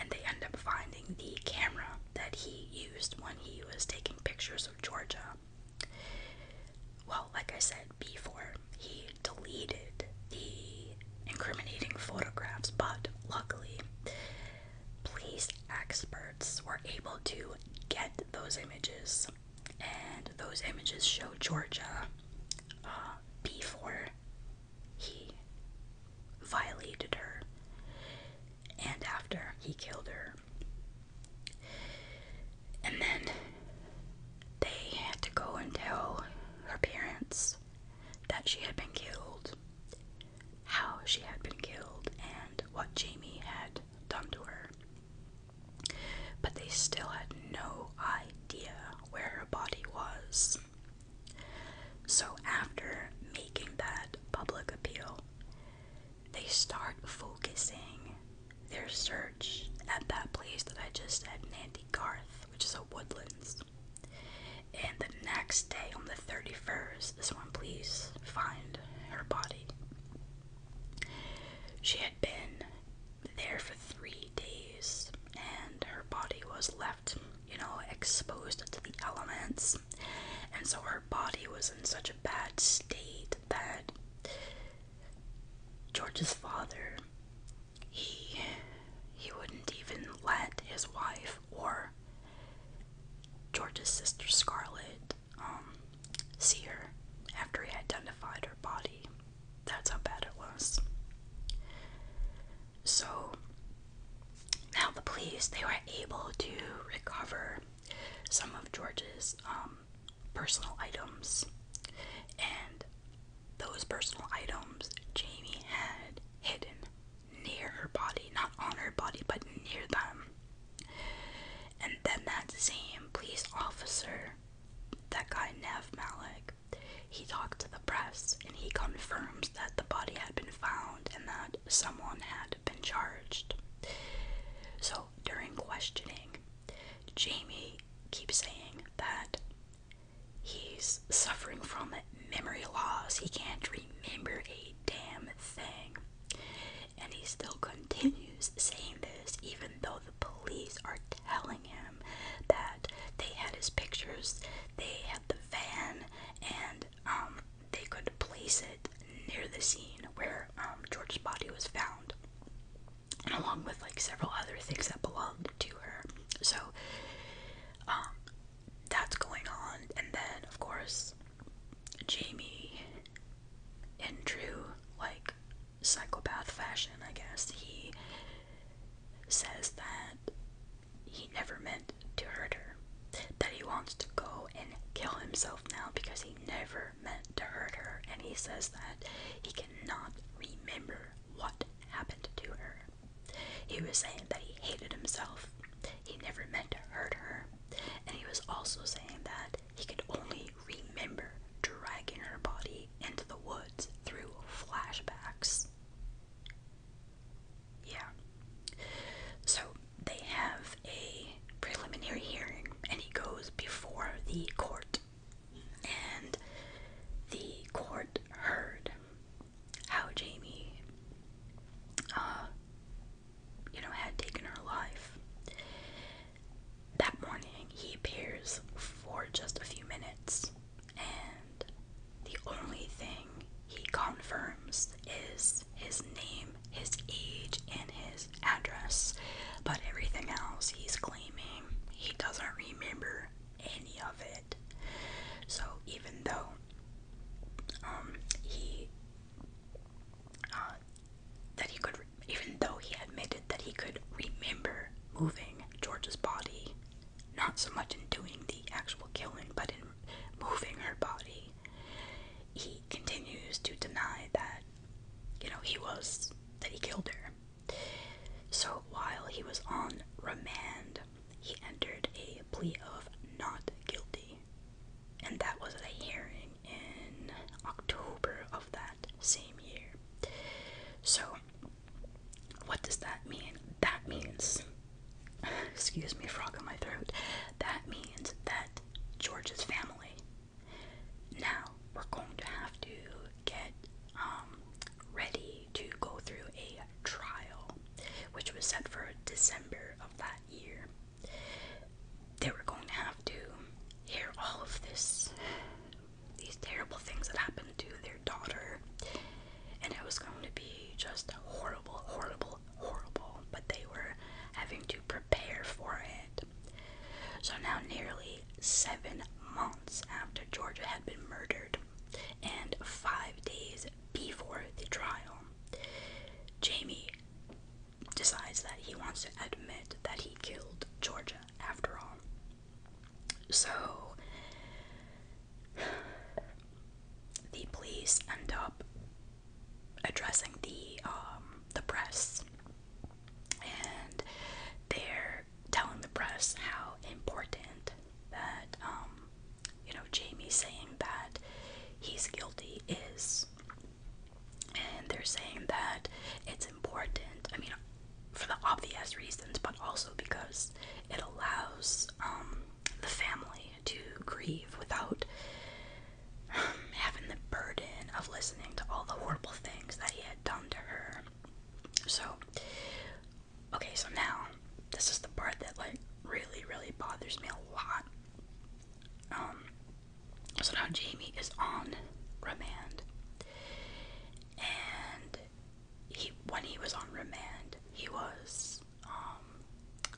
Speaker 1: And they end up finding the camera that he used when he was taking pictures of Georgia. Well, like I said before, he deleted the incriminating photographs, but luckily, police experts were able to get those images, and those images show Georgia uh, before he violated her and after he killed her. And then they had to go and tell her parents that she had been killed how she had been killed and what Jamie had done to her. But they still had no idea where her body was. So, after making that public appeal, they start focusing their search at that place that I just said, Nandy Garth, which is a woodlands. And the next day, on the 31st, this one, please find her body. She had been there for three days, and her body was left, you know, exposed to the elements. And so her body was in such a bad state that George's father, he he wouldn't even let his wife or George's sister Scarlet um, see her after he identified her body. That's how bad it was. So now the police they were able to recover some of George's um, personal items, and those personal items Jamie had hidden near her body, not on her body, but near them. And then that same police officer, that guy Nev Malik, he talked to the press and he confirms that the body had been found and that someone had been charged. So during questioning, Jamie keeps saying that he's suffering from it memory loss. He can't remember a damn thing. And he still continues saying this, even though the police are telling him that they had his pictures, they had the van, and um, they could place it near the scene where um, George's body was found, along with like several other things that belonged to her. So, um, that's going on. And then, of course, Jamie, and Drew, like, psychopath fashion, I guess, he says that he never meant to hurt her. That he wants to go and kill himself now because he never meant to hurt her. And he says that he cannot remember what happened to her. He was saying that he hated himself, he never meant to hurt her, and he was also saying that he could only remember dragging her body into the woods through flashbacks. Yeah. So they have a preliminary hearing, and he goes before the court. And the court heard how Jamie, uh, you know, had taken her life. That morning, he appears for just a few minutes, and the only thing he confirms is his name, his age, and his address. But everything else he's claiming he doesn't remember any of it. So even though um, he uh, that he could, even though he admitted that he could remember moving George's body, not so much in doing the actual killing, but in moving her body, he continues to deny that you know he was that he killed her. So while he was on remand, he entered a plea of not guilty. And that was a hearing in October of that same year. So, what does that mean? That means, *sighs* excuse me, frog in my throat, that means that George's family. Now, we're going to have to get um, ready to go through a trial, which was set for December of that year. They were going to have to hear all of this, these terrible things that happened to their daughter, and it was going to be just horrible, horrible, horrible. But they were having to prepare for it. So now, nearly seven months after Georgia had been murdered, and five days before the trial, Jamie decides that he wants to admit that he killed Georgia after all. So *sighs* the police end up addressing the um, the press and they're telling the press how important that um, you know, Jamie saying that he's guilty is. And they're saying that it's important, I mean, for the obvious reasons, but also because it allows um, the family to grieve without um, having the burden of listening to all the horrible things that he had done to her. So, okay, so now this is the part that like really really bothers me a lot. Um, so now Jamie is on remand, and he when he was on remand, he was um,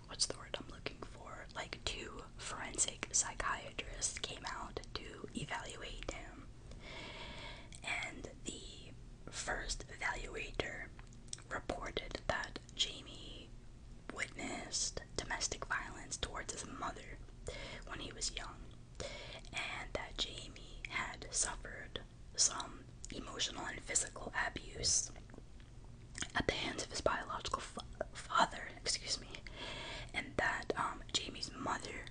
Speaker 1: what's the word I'm looking for? Like two forensic psychiatrists came out to evaluate him, and the first evaluator reported that Jamie witnessed domestic violence towards his mother when he was young, and that Jamie had suffered some emotional and physical abuse at the hands of his biological father, excuse me, and that um, Jamie's mother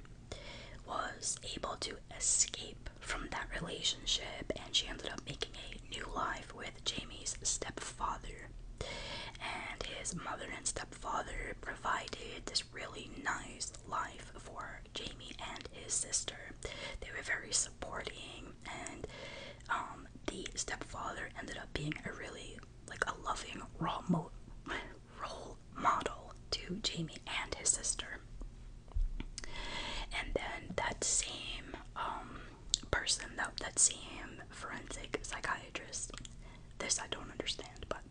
Speaker 1: was able to escape from that relationship and she ended up making a new life with Jamie's stepfather. And his mother and stepfather provided this really nice life for Jamie and his sister. They were very supporting, and um, the stepfather ended up being a really like a loving role, *laughs* model to Jamie and his sister. And then that same um, person though that see forensic psychiatrist. This I don't understand, but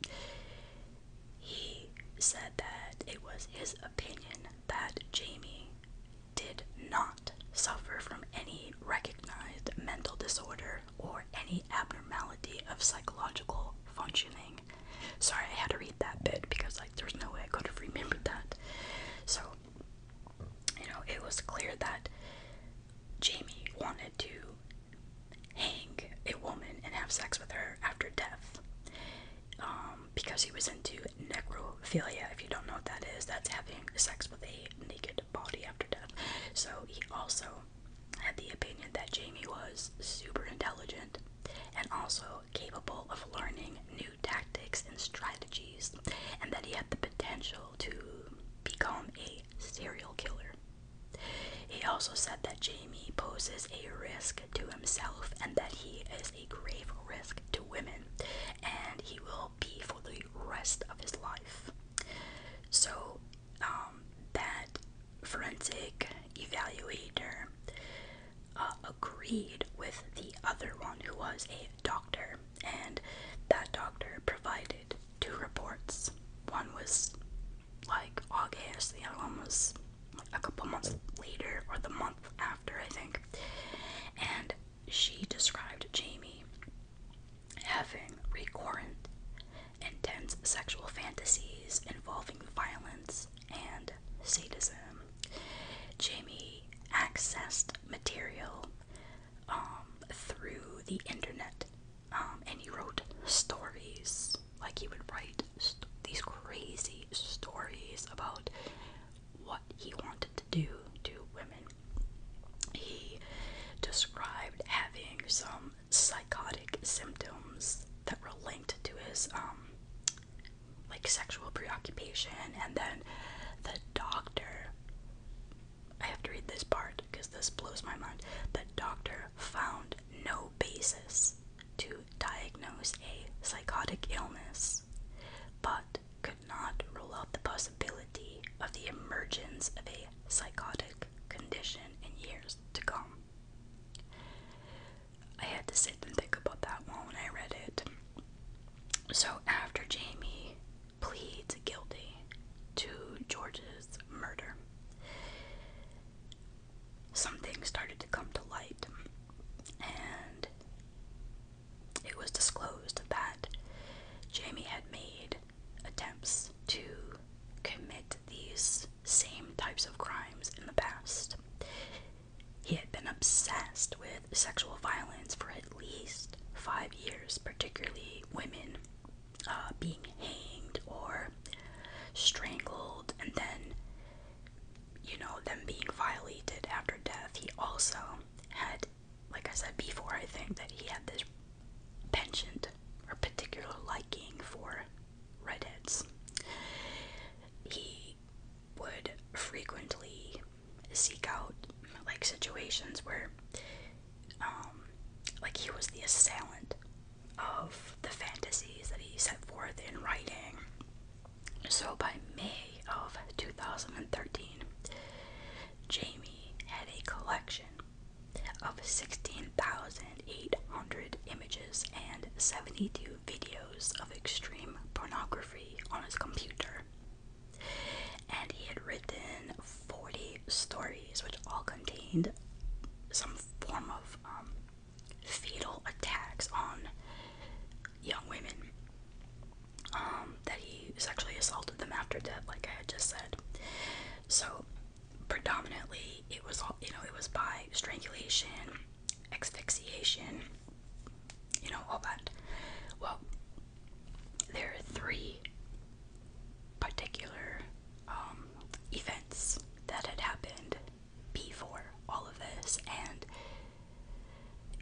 Speaker 1: he said that it was his opinion that Jamie did not suffer from any recognized mental disorder or any abnormality of psychological functioning. Sorry, I had to read that bit because like there's no way I could have remembered that. So you know, it was clear that Jamie wanted to hang a woman and have sex with her after death um, because he was into necrophilia. If you don't know what that is, that's having sex with a naked body after death. So he also had the opinion that Jamie was super intelligent and also capable of learning new tactics and strategies, and that he had the potential to become a serial killer. He also said that Jamie poses a risk to himself and that he is a grave risk to women, and he will be for the rest of his life. So, um, that forensic evaluator uh, agreed with the other one who was a doctor and that doctor provided two reports. One was like August, the other one was a couple months later or the month after, I think. And she described Jamie having recurrent, intense sexual fantasies involving violence and sadism. Jamie accessed material um, through the internet, um, and he wrote stories. Like he would write these crazy stories about what he wanted to do to women. He described having some psychotic symptoms that were linked to his um, like sexual preoccupation, and then the doctor. I have to read this part because this blows my mind. The doctor found no basis to diagnose a psychotic illness, but could not rule out the possibility of the emergence of a psychotic condition in years to come. I had to sit and think about that one when I read it. So after Jamie pleads guilty to George's murder, something started to come to light, and it was disclosed that Jamie had made attempts to commit these same types of crimes in the past. He had been obsessed with sexual violence for at least five years, particularly women uh, being hanged or strangled, and then, you know, them being violated after death. He also had, like I said before, I think that he had this penchant or particular liking for redheads. He would frequently seek out like situations where um like he was the assailant of the fantasies that he set forth in writing. So by May of 2013, Jamie had a collection of 16,800 images and 72 videos of extreme pornography on his computer. And he had written 40 stories, which all contained some form of um, fatal attacks on young women. Um, that he sexually assaulted them after death, like I had just said. So, predominantly, it was all you know, it was by strangulation, asphyxiation, you know, all that. Well, there are three particular um, events that had happened before all of this, and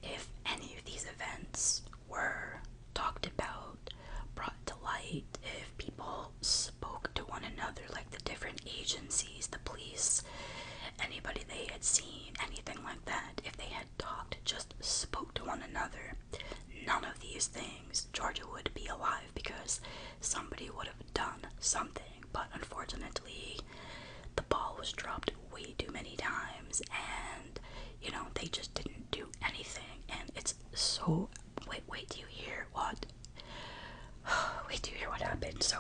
Speaker 1: if any of these events were talked about, brought to light, if people spoke to one another, like the different agencies, the police, anybody they had seen, anything like that, if they had talked, just spoke to one another, none of these things Georgia would be alive because somebody would have done something. But unfortunately, the ball was dropped way too many times, and you know, they just didn't do anything. And it's so. Wait, wait, do you hear what? *sighs* Wait, do you hear what happened? So,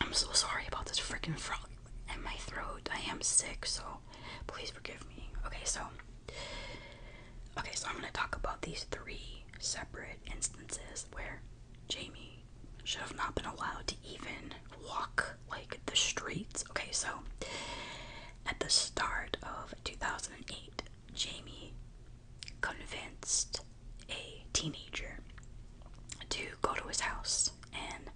Speaker 1: I'm so sorry about this freaking frog and my throat. I am sick, so please forgive me. Okay, so okay, so I'm gonna talk about these three separate instances where Jamie should have not been allowed to even walk like the streets. Okay, so at the start of 2008, Jamie convinced a teenager to go to his house and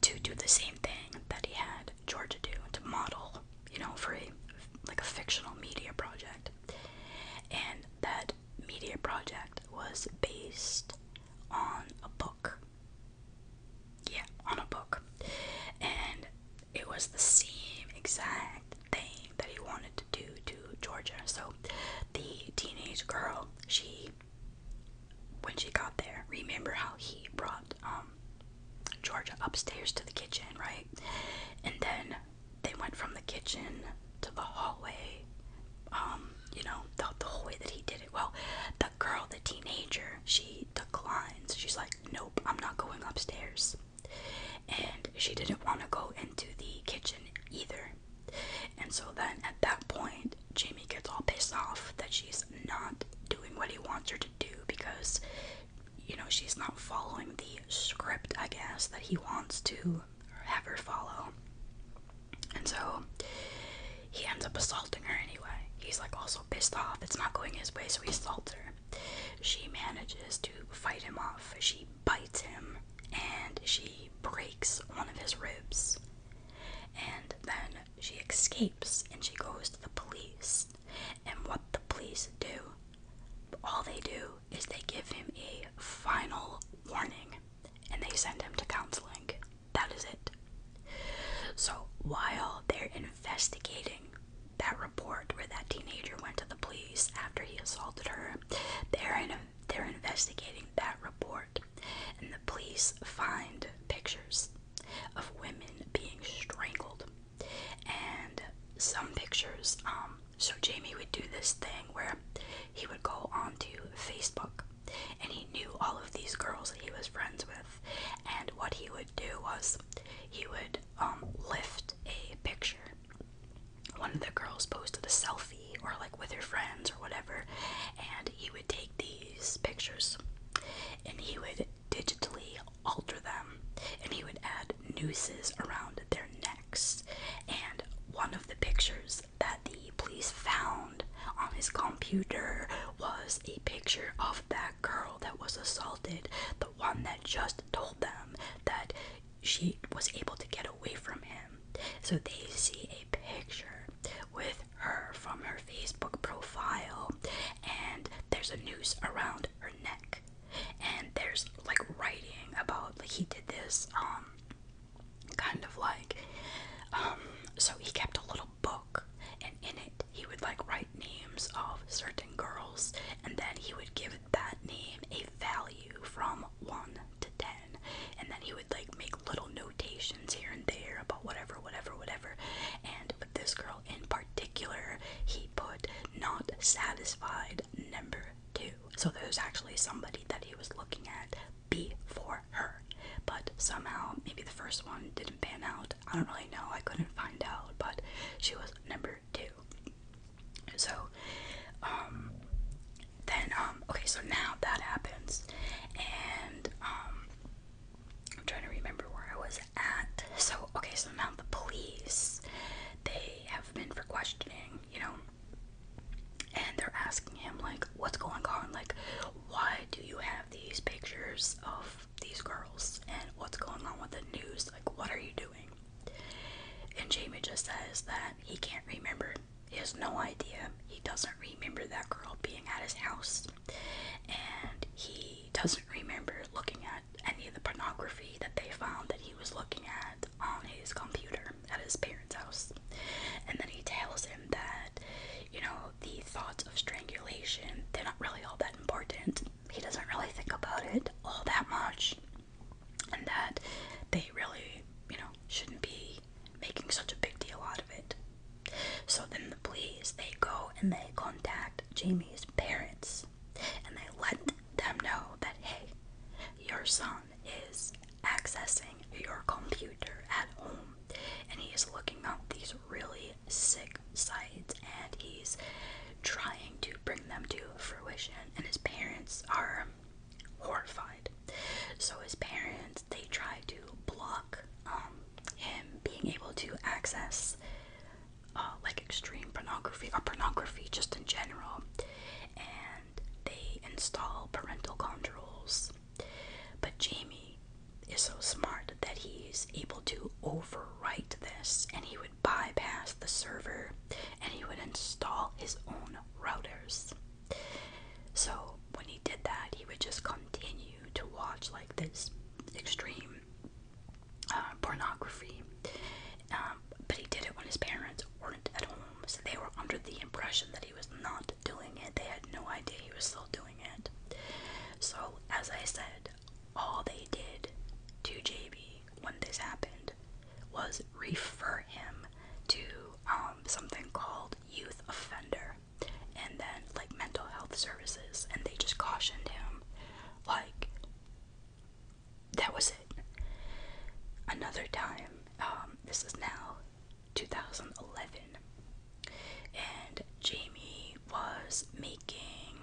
Speaker 1: to do the same thing that he had Georgia do to model, you know, for a like a fictional media project. And that media project was based on a book. Yeah, on a book. And it was the same exact thing that he wanted to do to Georgia. So the teenage girl, she when she got there, remember how he brought um, Georgia upstairs to the kitchen, right? And then they went from the kitchen to the hallway. Um, you know, the, the whole way that he did it. Well, the girl, the teenager, she declines. She's like, nope, I'm not going upstairs. And she didn't want to go into the kitchen either. And so then at that point, Jamie gets all pissed off that she's not doing what he wants her to do because, you know, she's not following the script, I guess, that he wants to have her follow. And so he ends up assaulting her anyway. He's like also pissed off, it's not going his way, so he assaults her. She manages to fight him off. She bites him and she breaks one of his ribs. And then she escapes and she goes to the police. And what the police do, all they do is they give him a final warning and they send him to counseling. That is it. So while they're investigating that report where that teenager went to the police after he assaulted her, they're they're investigating that report and the police find pictures of women being strangled. And some pictures, um, so Jamie would do this thing where he would go onto Facebook and he knew all of these girls that he was friends with. And what he would do was he would um, lift a picture. One of the girls posted a selfie or like with her friends or whatever, and he would take the pictures and he would digitally alter them and he would add nooses around their necks. And one of the pictures that the police found on his computer was a picture of that girl that was assaulted, the one that just told them that she was able to get away from him. So they see a picture with her from her Facebook profile, and there's a noose around her neck, and there's like writing about like he did this, um, kind of like, um, so he kept a little book, and in it he would like write names of certain girls, and then he would give that name a value from one to ten, and then he would like make little notations here and there about whatever, whatever, whatever. And with this girl in particular, he put not satisfied number two. So there's actually somebody that he was looking at before her. But somehow, maybe the first one didn't pan out. I don't really know. I couldn't find out. But she was number two. So, um, then, um, okay, so now that happens, and, um, I'm trying to remember where I was at. So, okay, so now the police, they have been for questioning, you know, and they're asking him, like, what's going on? Like, why do you have these pictures of these girls? And what's going on with the news? Like, what are you doing? And Jamie just says that he can't remember. He has no idea. He doesn't remember that girl being at his house and he doesn't remember looking at any of the pornography that they found that he was looking at on his computer at his parents' house. And then he tells him that, you know, the thoughts of strangulation, they're not really all that important. He doesn't really think about it all that much. And that they really, you know, shouldn't be making such a big deal out of it. So then the police they go and they contact Jamie's parents and they let them know that hey, your son is accessing your computer at home and he is looking up these really sick sites and he's trying to bring them to fruition and his parents are horrified so his parents they try to block um, him being able to access uh, like extreme pornography or pornography just in general, and they install parental controls. But Jamie is so smart that he's able to overwrite this and he would bypass the server and he would install his own routers. So when he did that, he would just continue to watch like this extreme uh, pornography. Um, but he did it when his parents weren't at home, so they were under the impression that he was not doing it. They had no idea he was still doing it. So, as I said, all they did to JB when this happened was refer him to um, something called youth offender and then like mental health services, and they just cautioned him. Like, that was it. Another time, um, this is now 2011, and Jamie was making,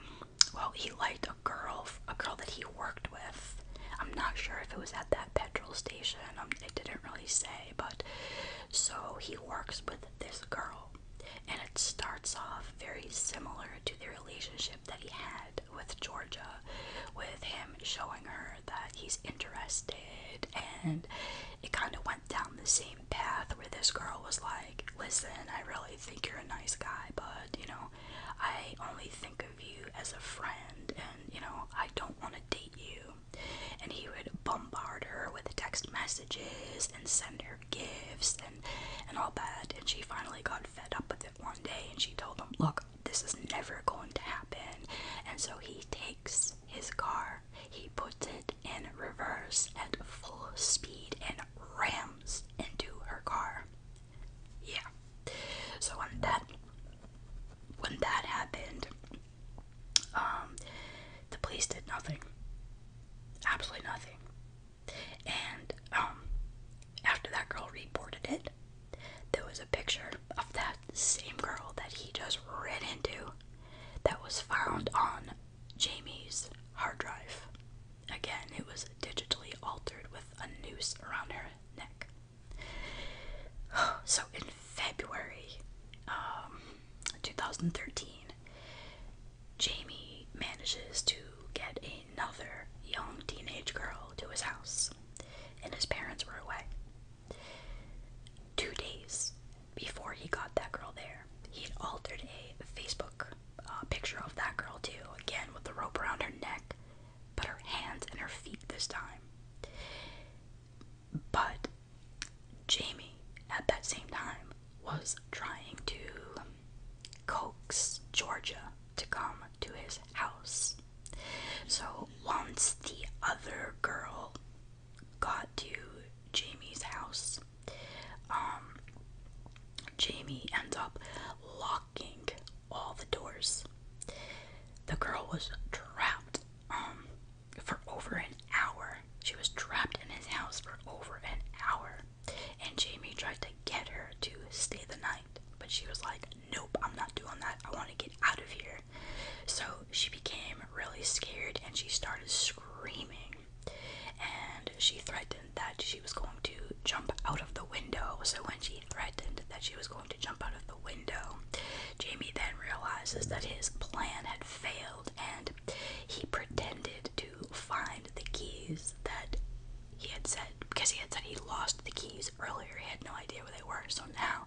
Speaker 1: well, he liked a girl, a girl that he worked with. I'm not sure if it was at that petrol station, um, it didn't really say, but so he works with this girl, and it starts off very similar to the relationship that he had with Georgia, with him showing her that he's interested, and it kind of went down the same path where this girl was like, Listen, I really think you're a nice guy, but you know, I only think of you as a friend, and you know, I don't want to date you and he would bombard her with text messages and send her gifts and and all that and she finally got fed up with it one day and she told him look this is never going to happen and so he takes his car he puts it in reverse at full speed and rams into her car yeah so when that when that happened um, the police did nothing. Absolutely nothing. And um, after that girl reported it, there was a picture of that same girl that he just ran into that was found on Jamie's hard drive. Again, it was digitally altered with a noose around her neck. *sighs* So in February, um, 2013, Jamie manages to get another young teenage girl to his house, and his parents were away. Two days before he got that girl there, he had altered a Facebook uh, picture of that girl, too, again with the rope around her neck, but her hands and her feet this time. But Jamie, at that same time, was trying to coax Georgia to come to his house. So once the other girl got to Jamie's house, um, Jamie ends up locking all the doors. The girl was trapped. Um, for over an hour. She was trapped in his house for over an hour. And Jamie tried to get her to stay the night, but she was like, Nope, I'm not doing that. I want to get out of here. So she became really scared and she started screaming. And she threatened that she was going to jump out of the window. So when she threatened that she was going to jump out of the window, Jamie then realizes that his plan had failed and he pretended to find the keys that he had said because he had said he lost the keys earlier. He had no idea where they were. So now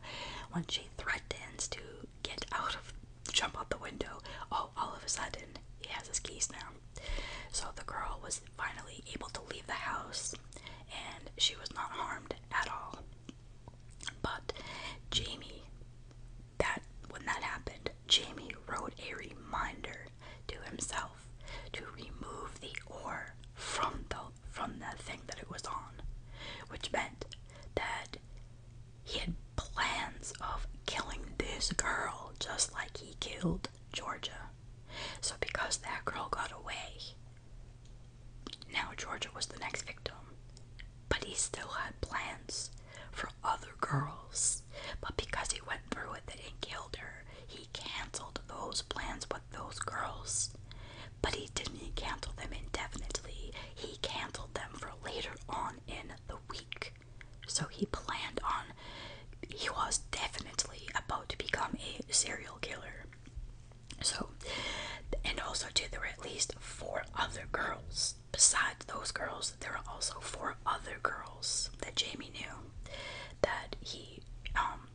Speaker 1: when she threatens to get out of jump out the window, oh all of a sudden he has his keys now. So the girl was finally able to leave the house and she was not harmed at all. But Jamie, that when that happened, Jamie wrote a reminder to himself to remove the ore from the from the thing that it was on, which meant that he had plans of killing this girl just like he killed Georgia. So because that girl got away, now Georgia was the next victim. But he still had plans for other girls, but because he went through with it and killed her, he canceled those plans with those girls. But he didn't cancel them indefinitely, he canceled them for later on in the week. So he planned on, he was definitely about to become a serial killer. So, and also, too, there were at least four other girls Besides those girls, there were also four other girls that Jamie knew that he, um,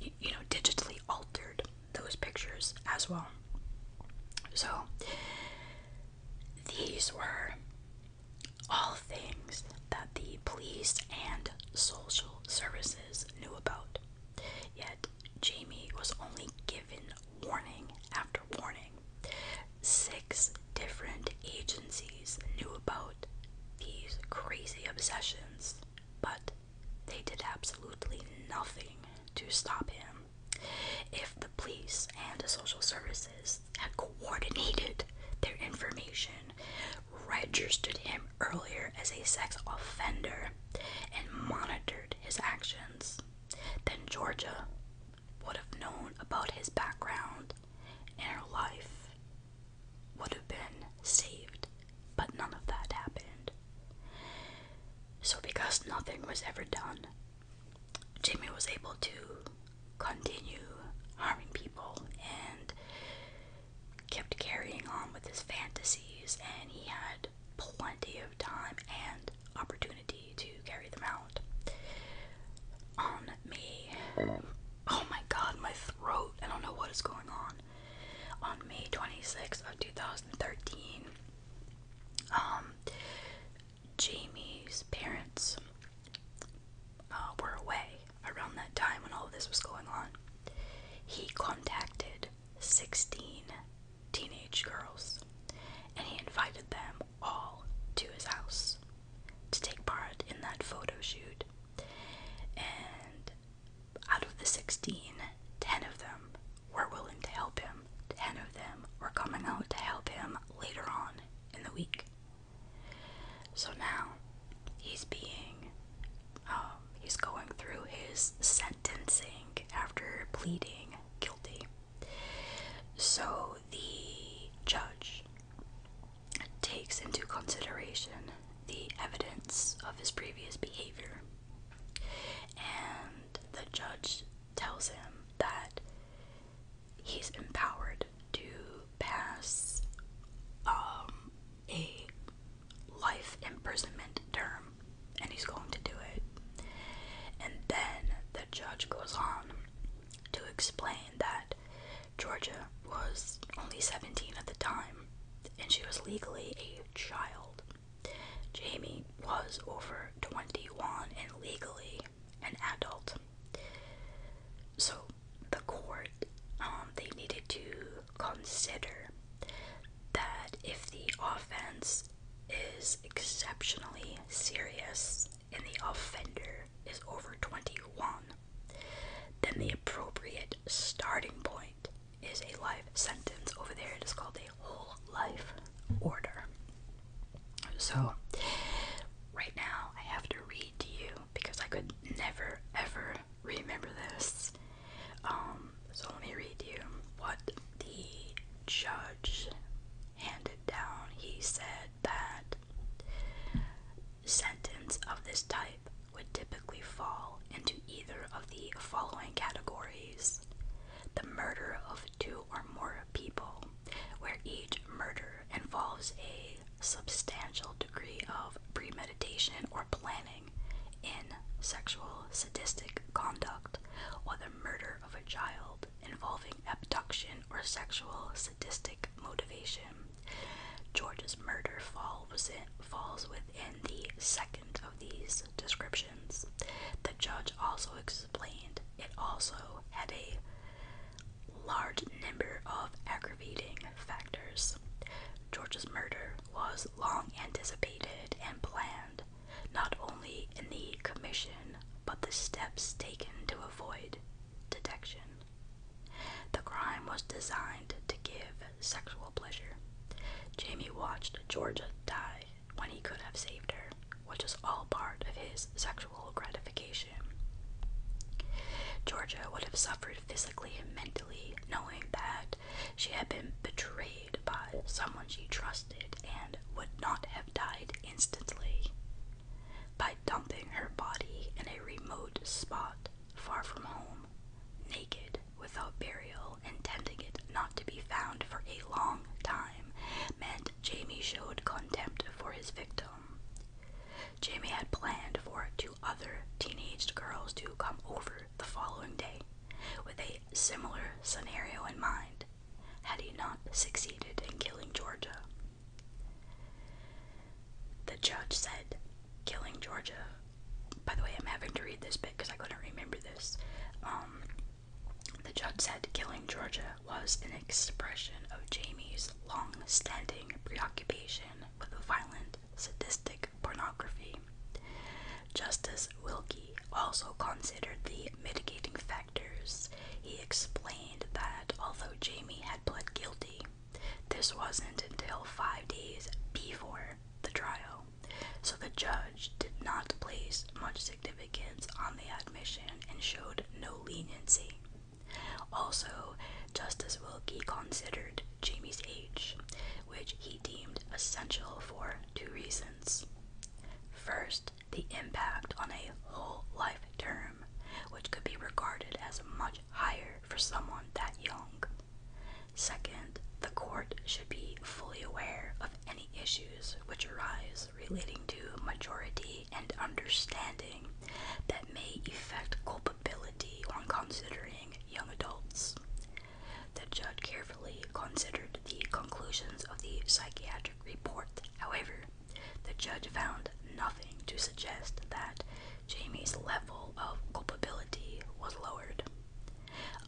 Speaker 1: you know, digitally altered those pictures as well. So, these were all things that the police and social services knew about. Yet, Jamie was only given warning after warning. Six different agencies knew about these crazy obsessions, but they did absolutely nothing to stop him. If the police and the social services had coordinated their information, registered him earlier as a sex offender, and monitored his actions, then Georgia would have known about his background and her life would have been saved. But none of that happened. So, because nothing was ever done, Jamie was able to continue harming people and kept carrying on with his fantasies, and he had plenty of time and opportunity to carry them out. On me, oh my god, my throat, I don't know what is going on. On May 26th of 2013, um, Jamie's parents uh, were away around that time when all of this was going on. He contacted 16 teenage girls, and he invited them all to his house to take part in that photo shoot. And out of the 16, 10 of them were willing to help him. 10 of them were coming out to help him later on in the week. So now he's being, um, he's going through his sentencing after pleading guilty. So the judge takes into consideration the evidence of his previous behavior, and the judge tells him that he's empowered to pass um, a life imprisonment term and he's going to do it. And then the judge goes on to explain that Georgia was only 17 at the time and she was legally a child. Jamie was over 21 and legally an adult. So the court um, they needed to consider that if the offense is exceptionally serious and the offender is over 21, then the appropriate starting point is a life sentence. Over there, it is called a whole life order. So, right now, I have to read to you because I could never ever remember this. Um, so, let me read you what the judge handed down, he said that sentence of this type would typically fall into either of the following categories the murder of two or more people, where each murder involves a substantial degree of premeditation or planning in sexual sadistic conduct, or the murder of a child involving abduction or sexual sadistic motivation. George's murder fall was falls within the second of these descriptions. The judge also explained it also had a large number of aggravating factors. George's murder was long anticipated and planned not only in the commission, but the steps taken to avoid detection. The crime was designed to give sexual pleasure. Jamie watched Georgia die when he could have saved her, which is all part of his sexual gratification. Georgia would have suffered physically and mentally knowing that she had been betrayed by someone she trusted and would not have died instantly. By dumping her body in a remote spot far from home, naked, without burial, intending it not to be found for a long time, meant Jamie showed contempt for his victim. Jamie had planned for two other teenaged girls to come over the following day with a similar scenario in mind, had he not succeeded in killing Georgia. The judge said, killing Georgia. By the way, I'm having to read this bit because I couldn't remember this. Um, the judge said killing Georgia was an expression of Jamie's long standing preoccupation with violent, sadistic pornography. Justice Wilkie also considered the mitigating factors he explained that although Jamie had pled guilty, this wasn't until five days before the trial, so the judge did not place much significance on the admission and showed no leniency. Also, Justice Wilkie considered Jamie's age, which he deemed essential for two reasons. First, the impact on a whole life term, which could be regarded as much higher for someone that young. Second, the court should be fully aware of any issues which arise relating to majority and understanding that may affect culpability on considering young adults. The judge carefully considered the conclusions of the psychiatric report. However, the judge found nothing to suggest that Jamie's level of culpability was lowered.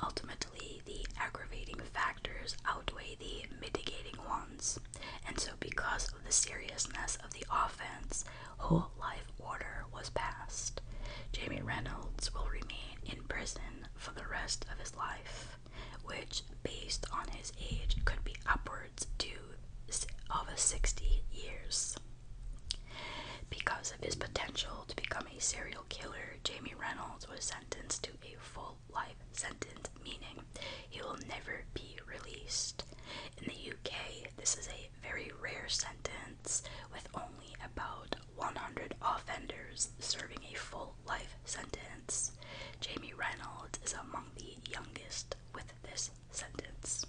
Speaker 1: Ultimately, the aggravating factors outweigh the mitigating ones, and so because of the seriousness of the offense, whole life order was passed. Jamie Reynolds will remain in prison for the rest of his life which, based on his age, could be upwards to of 60 years. Because of his potential to become a serial killer, Jamie Reynolds was sentenced to a full life sentence, meaning he will never be released. In the UK, this is a very rare sentence, with only about 100 offenders serving a full life sentence. Jamie Reynolds is among the youngest with this sentence.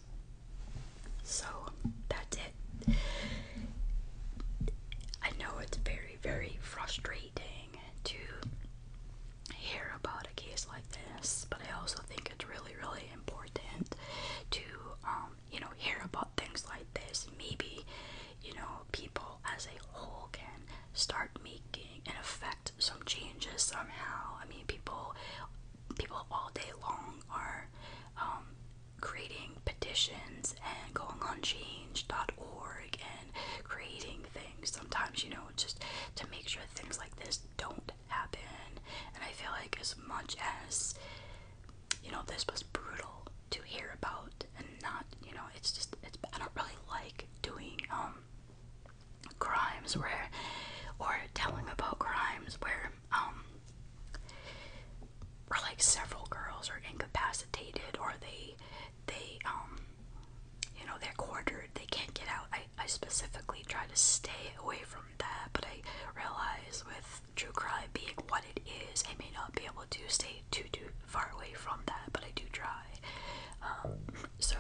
Speaker 1: So that's it. I know it's very, very frustrating to hear about a case like this, but I also think it's really, really important to, um, you know, hear about things like this. Maybe you know, people as a whole can start making and affect some changes somehow. I mean, people, people all day long are um, creating petitions and going on change.org and creating things sometimes, you know, just to make sure things like this don't happen. And I feel like, as much as you know, this was brutal to hear about, and not, you know, it's just, it's, I don't really like doing um crimes where or telling about crimes where um or like several girls are incapacitated or they they um you know they're quartered they can't get out I, I specifically try to stay away from that but I realize with true crime being what it is I may not be able to stay too too far away from that, but I do try. Um, so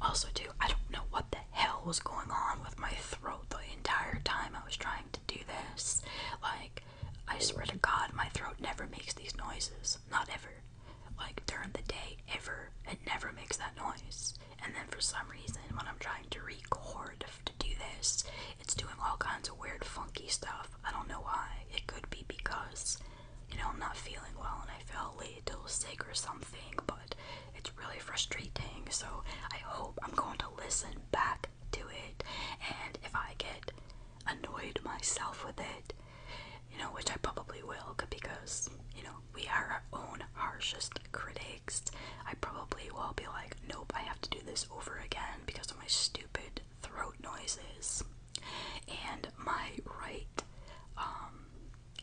Speaker 1: also too, I don't know what the hell was going on with my throat the entire time I was trying to do this. Like, I swear to God, my throat never makes these noises. Not ever. Like during the day, ever. It never makes that noise. And then for some reason, when I'm trying to record to do this, it's doing all kinds of weird, funky stuff. I don't know why. It could be because you know, I'm not feeling well and I felt late till sick or something, but it's really frustrating. So I hope I'm going to listen back to it. And if I get annoyed myself with it, you know, which I probably will because, you know, we are our own harshest critics. I probably will be like, nope, I have to do this over again because of my stupid throat noises and my right um,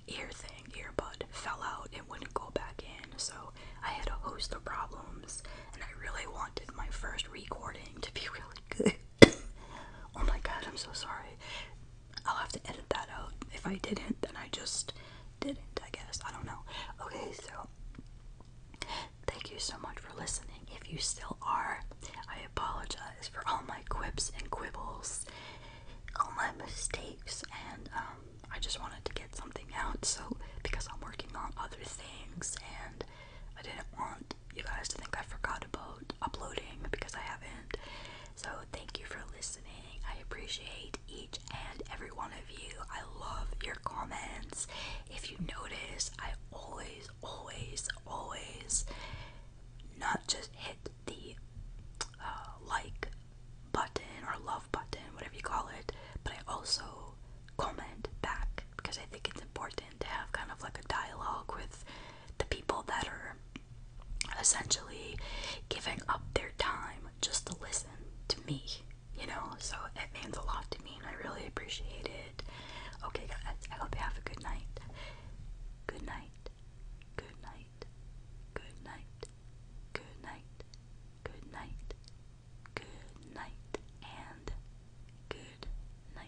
Speaker 1: ear thing, earbud, fell out and wouldn't go back in. So I had a host of problems and I really wanted my first recording to be *laughs* really good. oh my god, I'm so sorry. I'll have to edit that out. If I didn't, then I just didn't, I guess. I don't know. Okay, so thank you so much for listening. If you still are, I I apologize for all my quips and quibbles, all my mistakes, and um, I just wanted to get something out. So, because I'm working on other things, and I didn't want you guys to think I forgot about uploading because I haven't. So, thank you for listening. I appreciate each and every one of you. I love your comments. If you notice, I always, always, always not just hit the uh, like button or love button, whatever you call it, but I also comment back because I think it's important to have kind of like a dialogue with the people that are essentially giving up their time just to listen to me, you know? So it means a lot to me and I really appreciate it. Okay, guys, I hope you have a good night. Good night. Good night. Good night. Good night. Good night. Good night and good night.